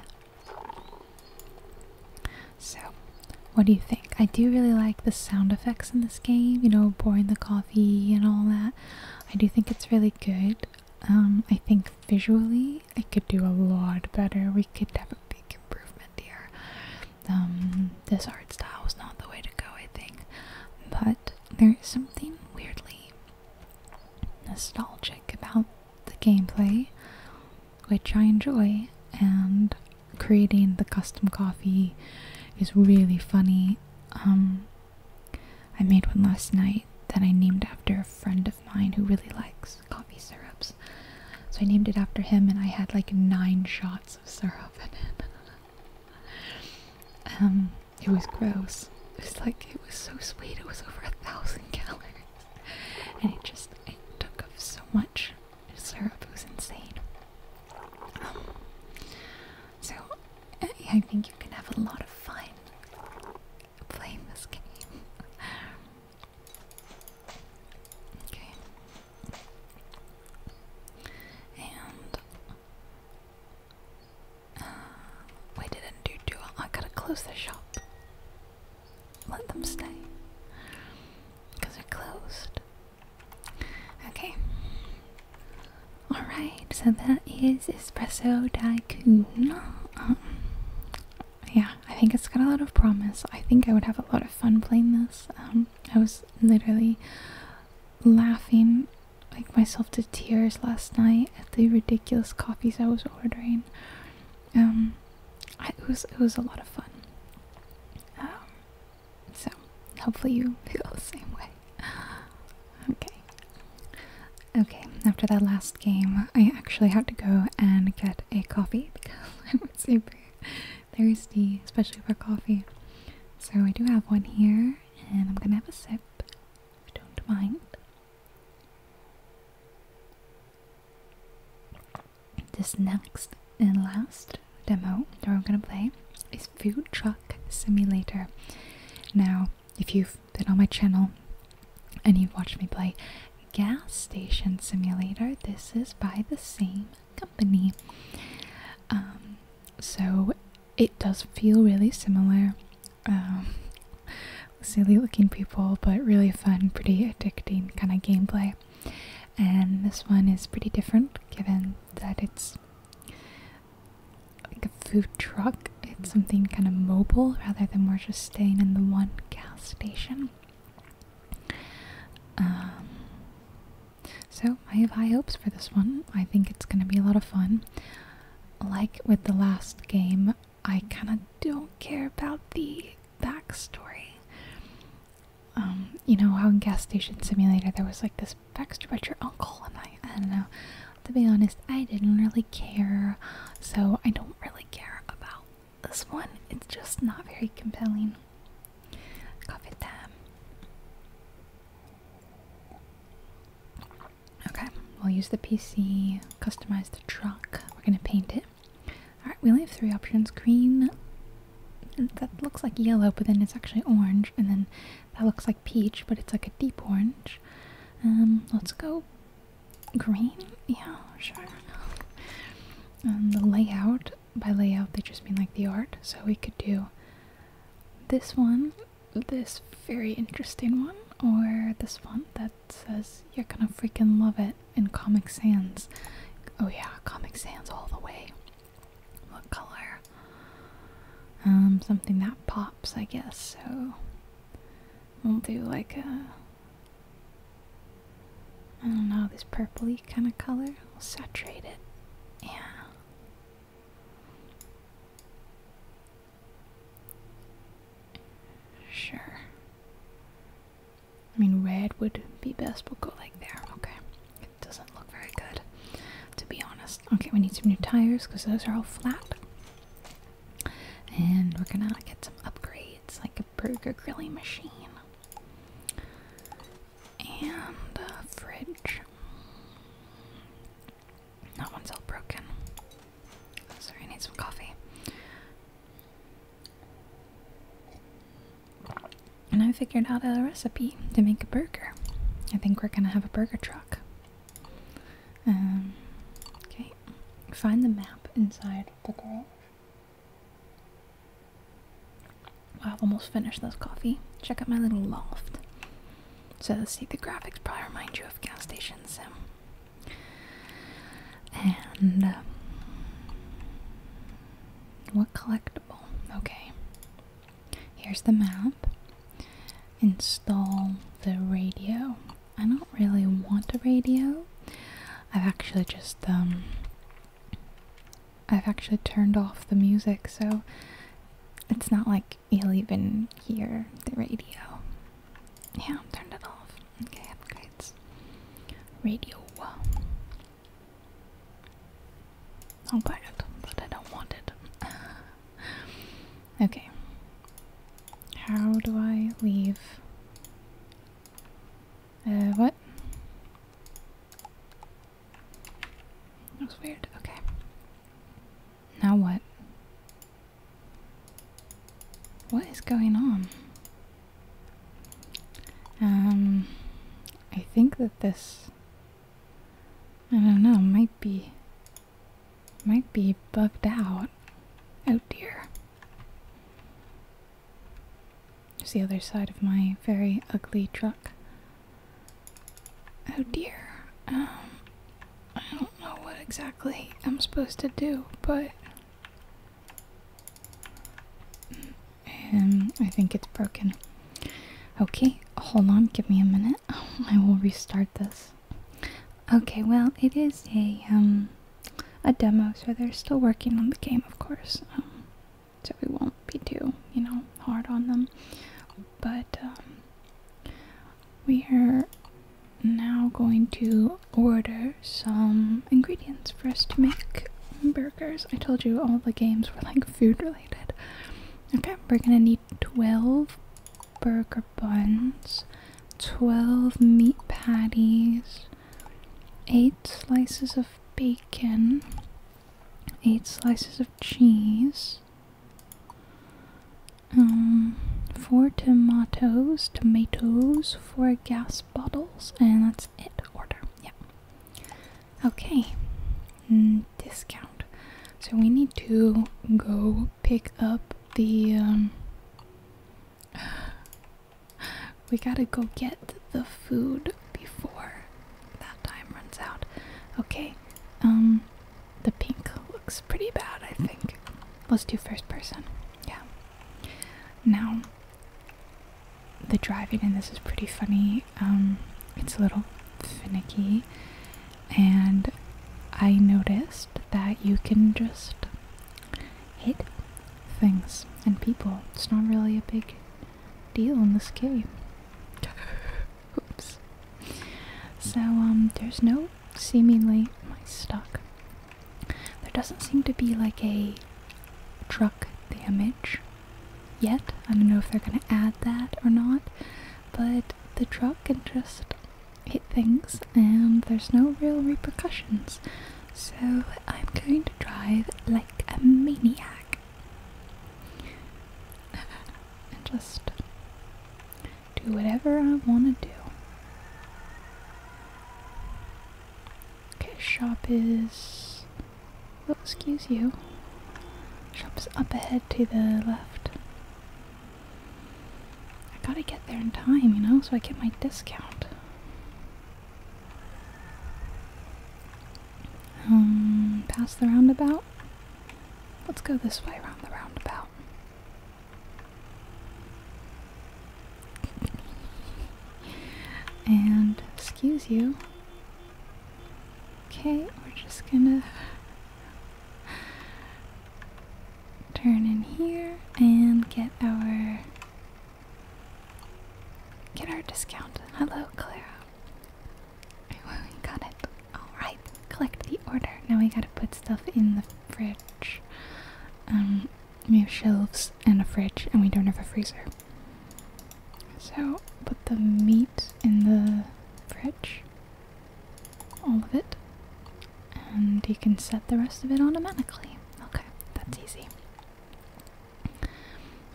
Speaker 1: So, what do you think? I do really like the sound effects in this game, you know, pouring the coffee and all that. I do think it's really good. Um, I think visually it could do a lot better. We could have a big improvement here. Um, this art style is not the way to go, I think. But there is something weirdly nostalgic about the gameplay, which I enjoy, and creating the custom coffee is really funny. Um, I made one last night that I named after a friend of mine who really likes coffee syrups. So I named it after him, and I had like nine shots of syrup in it. Um, it was gross. It was like it was so sweet. It was over a thousand calories, and it just took up so much syrup who's insane. Um, so, I, think you can have a lot of fun playing this game. okay. And. Uh, we didn't do too I gotta close the shop. Let them stay. Because they're closed. Okay. Alright, so that is Espresso Tycoon. Um, yeah, I think it's got a lot of promise. I think I would have a lot of fun playing this. Um, I was literally laughing like myself to tears last night at the ridiculous coffees I was ordering. Um, it was it was a lot of fun. Um, so hopefully you feel the same way. Okay. Okay, after that last game, I actually had to go and get a coffee because I was super thirsty, especially for coffee. So I do have one here, and I'm gonna have a sip, if you don't mind. This next and last demo that we're gonna play is Food Truck Simulator. Now, if you've been on my channel and you've watched me play Gas Station Simulator, this is by the same company. Um, so it does feel really similar. Um, silly looking people, but really fun, pretty addicting kind of gameplay and this one is pretty different given that it's like a food truck. It's mm-hmm. something kind of mobile rather than we're just staying in the one gas station. Um, so I have high hopes for this one. I think it's going to be a lot of fun. Like with the last game, I kind of don't care about the backstory. Um, you know how in gas station simulator there was like this backstory about your uncle and I I don't know. To be honest, I didn't really care, so I don't really care about this one. It's just not very compelling. Coffee time. Okay, we'll use the PC, customize the truck. We're gonna paint it. Alright, we only have three options green, that looks like yellow, but then it's actually orange, and then that looks like peach, but it's like a deep orange. Um, let's go green. Yeah, sure. um, the layout by layout they just mean like the art, so we could do this one, this very interesting one, or this one that says you're gonna freaking love it in Comic Sans. Oh yeah, Comic Sans all the way. What color? Um, something that pops, I guess. So we'll do like a. I don't know, this purpley kind of color. We'll saturate it. Yeah. Sure. I mean, red would be best. We'll go like there. Okay. It doesn't look very good, to be honest. Okay, we need some new tires because those are all flat. And we're gonna get some upgrades, like a burger grilling machine. And a fridge. That one's all broken. Sorry, I need some coffee. And I figured out a recipe to make a burger. I think we're gonna have a burger truck. Um, okay, find the map inside the garage. I've almost finished this coffee. Check out my little loft. So let's see, the graphics probably remind you of gas stations, sim. And um, what collectible? Okay, Here's the map. Install the radio. I don't really want a radio. I've actually just um I've actually turned off the music so it's not like you'll even hear the radio. Yeah, turned it off. Okay, upgrades. Radio. Oh, I'll buy but I don't want it. okay. How do I leave? Uh, what? That was weird. Okay. Now what? What is going on? Um, I think that this I don't know, might be might be bugged out. Oh dear. There's the other side of my very ugly truck. Oh dear. Um I don't know what exactly I'm supposed to do, but um, I think it's broken. Okay, hold on, give me a minute. I will restart this. Okay, well, it is a um a demo, so they're still working on the game, of course. Um, so we won't be too, you know, hard on them. But um, we are now going to order some ingredients for us to make burgers. I told you all the games were like food related. Okay, we're gonna need 12 burger buns, 12 meat patties, 8 slices of bacon, 8 slices of cheese, um, 4 tomatoes, tomatoes, 4 gas bottles, and that's it. Order, yeah. Okay, discount. So we need to go pick up the. Um, we gotta go get the food before that time runs out. Okay, um, the pink looks pretty bad, I think. Let's do first person. Yeah. Now, the driving in this is pretty funny um, it's a little finicky, and I noticed that you can just hit things and people. It's not really a big deal in this game. Oops. So, um, there's no seemingly my stuck. There doesn't seem to be like a truck damage yet. I don't know if they're going to add that or not, but the truck can just hit things and there's no real repercussions. So I'm going to drive like a maniac and just do whatever I want to do. Okay, shop is well, oh, excuse you. Shop's up ahead to the left. I gotta get there in time, you know, so I get my discount. Um, past the roundabout? Let's go this way around the roundabout. And, excuse you, Okay, we're just gonna turn in here and get our get our discount. Hello, Clara. We got it. Alright, collect the order. Now we gotta put stuff in the fridge. Um, we have shelves and a fridge, and we don't have a freezer. So put the meat in the fridge, all of it, and you can set the rest of it automatically. Okay, that's easy.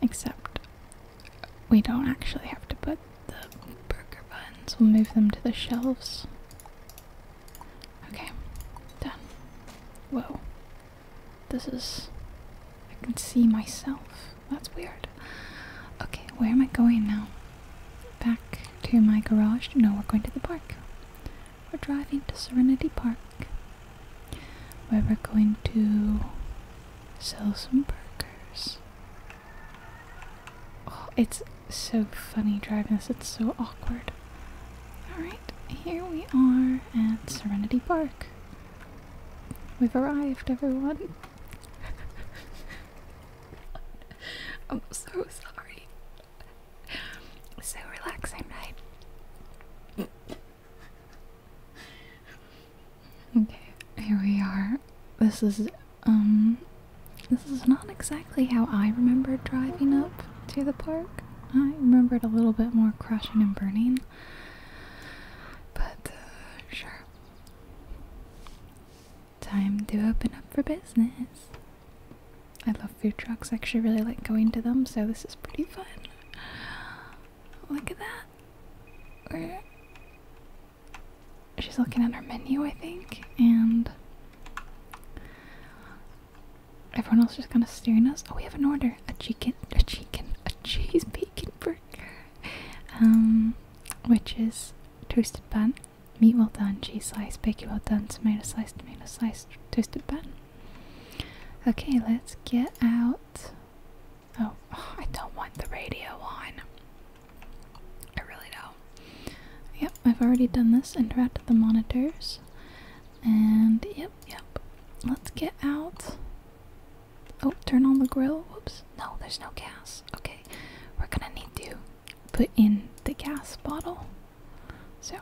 Speaker 1: Except we don't actually have to put the burger buns, we'll move them to the shelves. Okay, done. Whoa. This is. I can see myself. That's weird. Okay, where am I going now? Back to my garage? No, we're going to the park. We're driving to Serenity Park where we're going to sell some burgers. Oh, it's so funny driving this, it's so awkward. Alright, here we are at Serenity Park. We've arrived, everyone. I'm so sorry. So relaxing, right? okay, here we are. This is um this is not exactly how I remember driving up to the park. I remembered a little bit more crashing and burning. But uh, sure. Time to open up for business. I love food trucks, I actually really like going to them, so this is pretty fun. Look at that. She's looking at her menu, I think, and everyone else is just kind of staring at us. Oh, we have an order: a chicken, a chicken, a cheese bacon burger um, which is toasted bun, meat well done, cheese slice, bacon well done, tomato slice, tomato slice, toasted bun. Okay, let's get out. Oh, oh I don't want the radio on. I really don't. Yep, I've already done this, interact with the monitors. And yep, yep. Let's get out Oh, turn on the grill. Whoops. No, there's no gas. Okay. We're gonna need to put in the gas bottle. So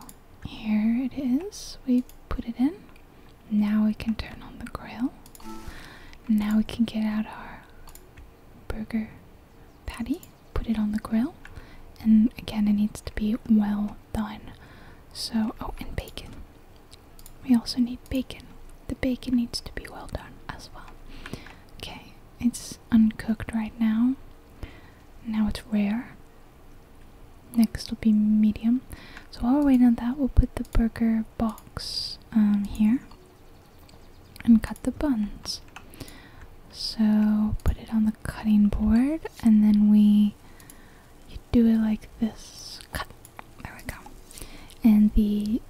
Speaker 1: here it is. We put it in. Now we can turn on the grill. Now we can get out our burger patty, put it on the grill, and again, it needs to be well done. So, oh, and bacon. We also need bacon. The bacon needs to be well done as well. Okay, it's uncooked right now. Now it's rare. Next will be medium. So while we're waiting on that, we'll put the burger box um, here and cut the buns. So put it on the cutting board and then we do it like this. Cut. There we go. And the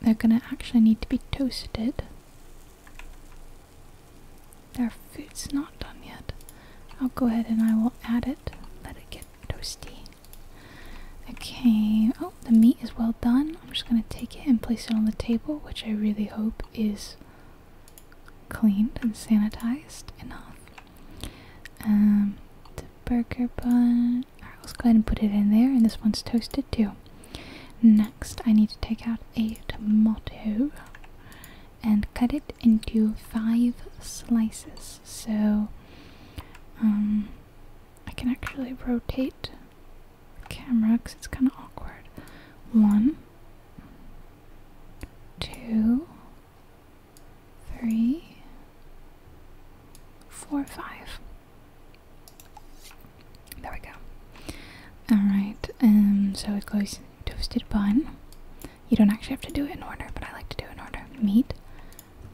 Speaker 1: they're gonna actually need to be toasted. Their food's not done yet. I'll go ahead and I will add it. Let it get toasty. Okay, oh, the meat is well done. I'm just gonna take it and place it on the table, which I really hope is cleaned and sanitized enough. Um, the burger bun. Alright, let's go ahead and put it in there, and this one's toasted too. Next, I need to take out a tomato and cut it into five slices. So, um, I can actually rotate camera because it's kind of awkward. One, two, three, four, five. There we go. Alright, um, so it goes toasted bun. You don't actually have to do it in order, but I like to do it in order. Meat,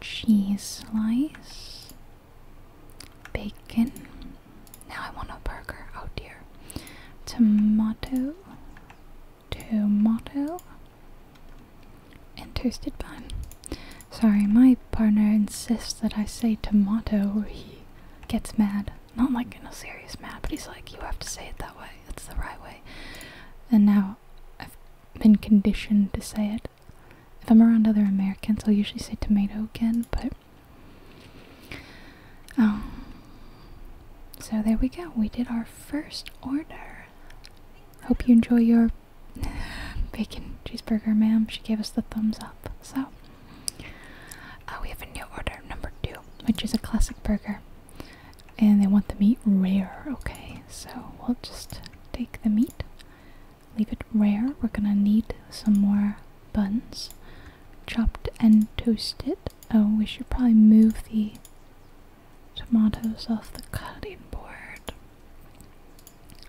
Speaker 1: cheese slice, bacon. Now I want a burger. Oh dear. Tomato, tomato, and toasted bun. Sorry, my partner insists that I say tomato or he gets mad. Not like in a serious mad, but he's like, you have to say it that way. It's the right way. And now I've been conditioned to say it. If I'm around other Americans, I'll usually say tomato again, but. oh, so there we go. We did our first order. Hope you enjoy your Bacon cheeseburger, ma'am. She gave us the thumbs up. So, uh, we have a new order, number two, which is a classic burger. And they want the meat rare, okay? So, we'll just take the meat, leave it rare. We're gonna need some more buns, chopped and toasted. Oh, we should probably move the tomatoes off the cutting board.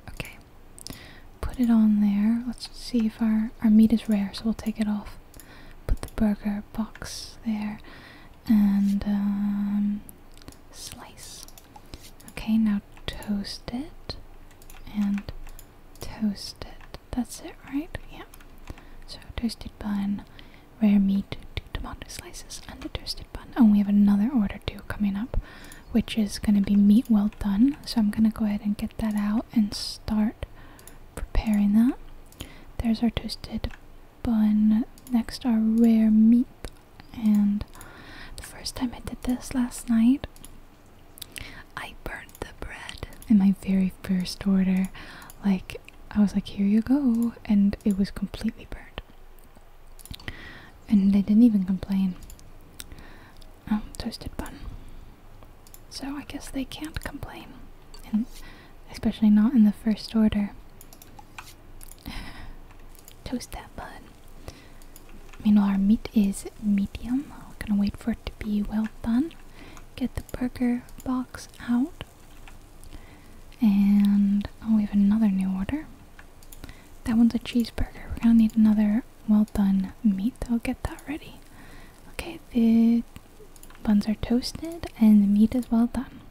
Speaker 1: Okay, Put it on there. Let's see if our our meat is rare, so we'll take it off. Put the burger box there and um, slice. Okay, now toast it and toast it. That's it, right? Yeah. So toasted bun, rare meat, two tomato slices, and a toasted bun. Oh, we have another order too coming up which is going to be meat well done. So I'm going to go ahead and get that out and start preparing that. There's our toasted bun. Next, our rare meat. And the first time I did this last night, I burnt the bread in my very first order. Like, I was like, here you go. And it was completely burnt. And they didn't even complain. Oh, toasted bun. So I guess they can't complain. And especially not in the first order. Toast that bun. Meanwhile, our meat is medium. gonna wait for it to be well done. Get the burger box out. And oh, we have another new order. That one's a cheeseburger. We're gonna need another well done meat. I'll get that ready. Okay, the buns are toasted and the meat is well done.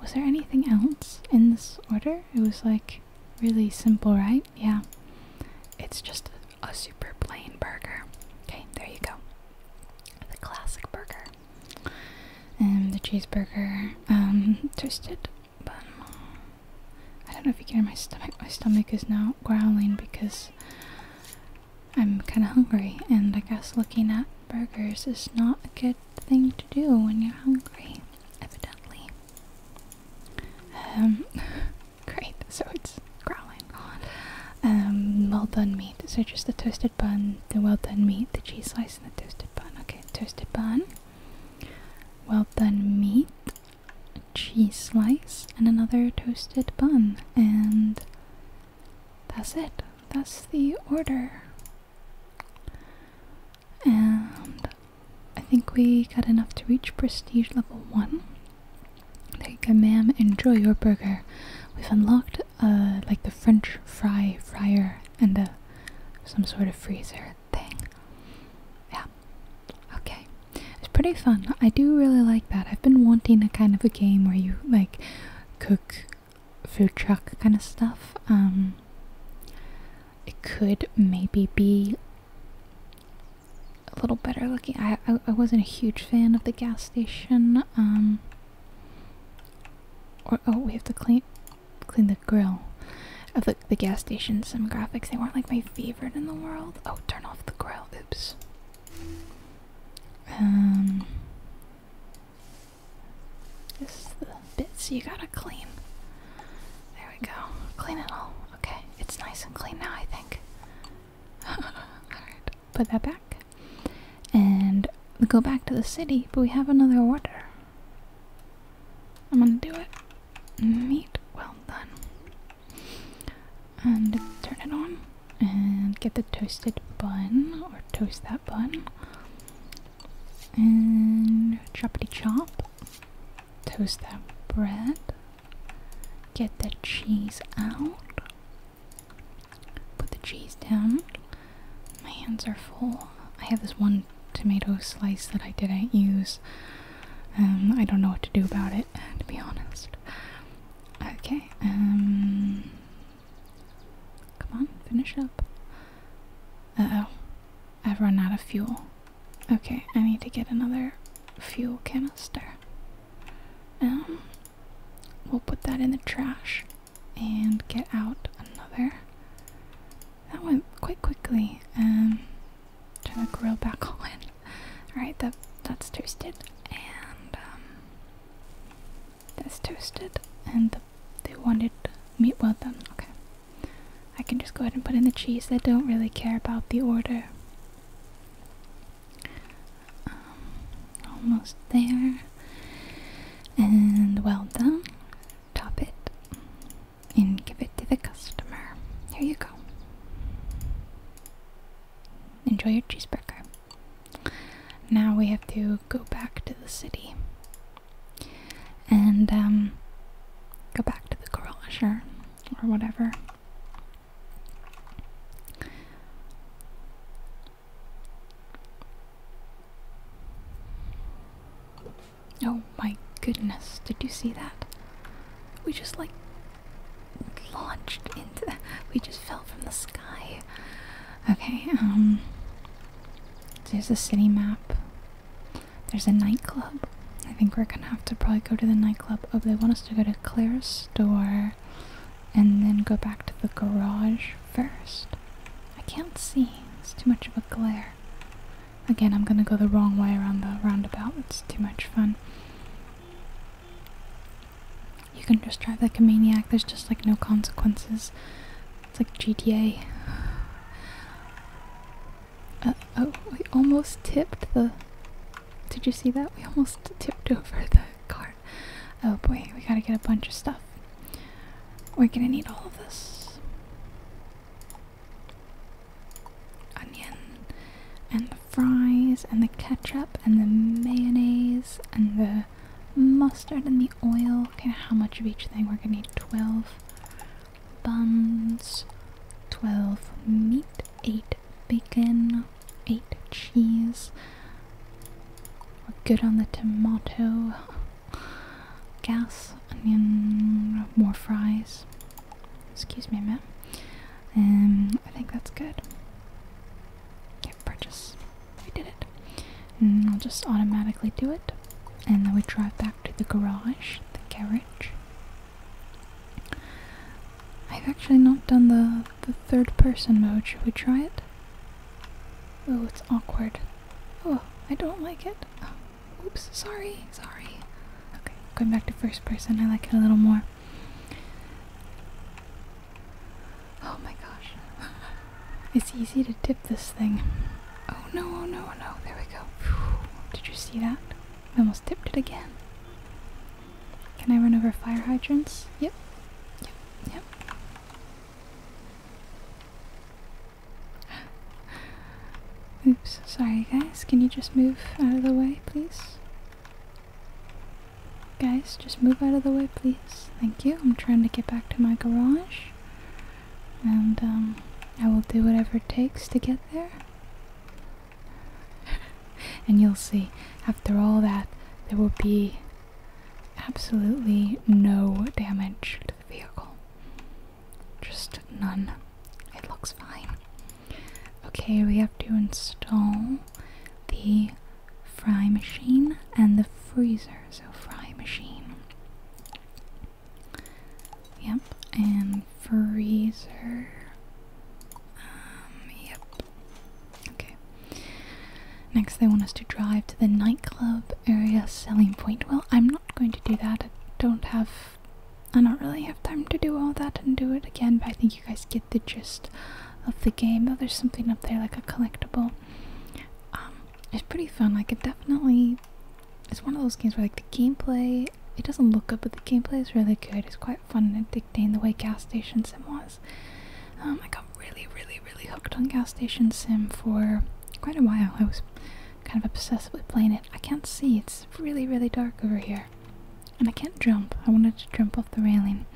Speaker 1: Was there anything else in this order? It was like really simple, right? Yeah. It's just a super plain burger. Okay, there you go. The classic burger. And the cheeseburger, um, toasted but um, I don't know if you can hear my stomach. My stomach is now growling because I'm kind of hungry, and I guess looking at burgers is not a good thing to do when you're hungry, evidently. Um, great. So it's growling. Um, well done meat. So just the toasted bun, the well done meat, the cheese slice, and the toasted bun. Okay, toasted bun. Well done meat cheese slice and another toasted bun, and that's it. That's the order. And I think we got enough to reach prestige level 1. There you go, ma'am. Enjoy your burger. We've unlocked uh, like the French fry fryer and uh, some sort of freezer thing. Yeah. Okay. It's pretty fun. I do really like that. I've been wanting a kind of a game where you like cook food truck kind of stuff. Um, it could maybe be a little better looking. I, I wasn't a huge fan of the gas station. Um, or oh we have to clean clean the grill. Of uh, the the gas station some graphics. They weren't like my favorite in the world. Oh, turn off the grill. Oops. Um, this is the bits you gotta clean. There we go. Clean it all. Okay, it's nice and clean now, I think. Alright, put that back. And go back to the city, but we have another order. I'm gonna do it meat well done. And turn it on and get the toasted bun or toast that bun. And choppity chop. Toast that bread. Get the cheese out. Put the cheese down. My hands are full. I have this one tomato slice that I didn't use um, I don't know what to do about it, to be honest. Okay, um. Come on, finish up. Uh oh. I've run out of fuel. Okay, I need to get another fuel canister. Um, we'll put that in the trash and get out another. That went quite quickly. Um, Turn the grill back on. Alright, that that's toasted. And um, that's toasted. And the, they wanted meat well done. Okay. I can just go ahead and put in the cheese. They don't really care about the order. Um, almost there. And well done. Top it and give it to the customer. Here you go. Enjoy your cheeseburger. Now we have to go back to the city and um, go back to the garage or whatever. Oh my goodness, did you see that? We just like launched into we just fell from the sky. Okay, um there's a city map. There's a nightclub. I think we're gonna have to probably go to the nightclub. Oh, they want us to go to Claire's store and then go back to the garage first. I can't see. It's too much of a glare. Again, I'm going to go the wrong way around the roundabout. It's too much fun. You can just drive like a maniac. There's just like no consequences. It's like GTA. Uh, oh, we almost tipped the... Did you see that? We almost tipped over the car. Oh boy, we gotta get a bunch of stuff. We're gonna need all of this onion and the fries and the ketchup and the mayonnaise and the mustard and the oil. Okay, how much of each thing? We're gonna need 12 buns, 12 meat, 8 bacon, 8 cheese. We're good on the tomato, gas, onion, more fries. Excuse me, ma'am. Um, I think that's good. purchase. We did it. And mm, I'll just automatically do it. And then we drive back to the garage, the garage. I've actually not done the, the third person mode. Should we try it? Oh, it's awkward. Oh, I don't like it. oops, sorry, sorry. Okay, going back to first person, I like it a little more. Oh my gosh. it's easy to tip this thing. Oh no, oh no, oh no. There we go. Did you see that? almost tipped it again. Can I run over fire hydrants? Yep. Yep, yep. Oops, sorry guys. Can you just move out of the way, please? Guys, just move out of the way, please. Thank you. I'm trying to get back to my garage. And, um, I will do whatever it takes to get there. and you'll see, after all that, there will be absolutely no damage to the vehicle. Just none it looks fine. Okay, we have to install the fry machine and the freezer. So, fry machine. Yep, and freezer. Um, yep. Okay. Next, they want us to drive to the nightclub area selling point. Well, I'm not going to do that. I don't have I don't really have time to do all that and do it again, but I think you guys get the gist of the game. Though there's something up there like a collectible. Um, it's pretty fun. Like it definitely It's one of those games where like the gameplay it doesn't look good, but the gameplay is really good. It's quite fun and addicting the way gas station sim was. Um, I got really, really, really hooked on gas station sim for quite a while. I was kind of obsessively playing it. I can't see. It's really, really dark over here. And I can't jump. I wanted to jump off the railing.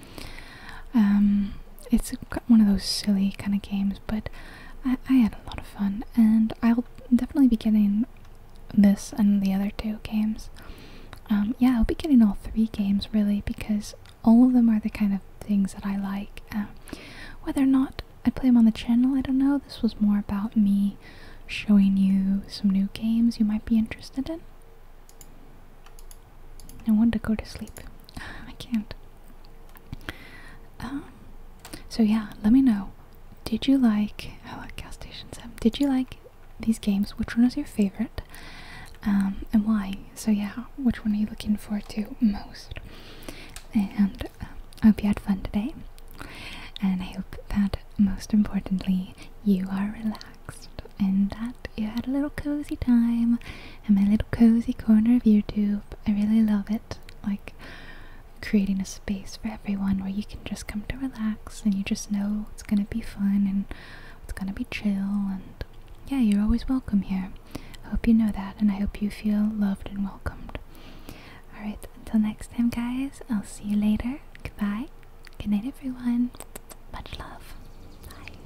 Speaker 1: Um, it's one of those silly kind of games, but I, had a lot of fun, and I'll definitely be getting this and the other two games. Um, yeah, I'll be getting all three games really because all of them are the kind of things that I like. Uh, whether or not I play them on the channel, I don't know. This was more about me showing you some new games you might be interested in. I want to go to sleep. I can't. Um, so yeah, let me know. Did you like I oh, like gas station seven? Um, did you like these games? Which one was your favorite? Um, and why? So yeah, which one are you looking forward to most? And I hope you had fun today. And I hope that most importantly you are relaxed and that you had a little cozy time in my little cozy corner of YouTube. I really love it. Like creating a space for everyone where you can just come to relax and you just know it's gonna be fun and it's gonna be chill and yeah, you're always welcome here. I hope you know that and I hope you feel loved and welcomed. Alright, until next time, guys, I'll see you later. Goodbye. Good night, everyone. Much love. Bye.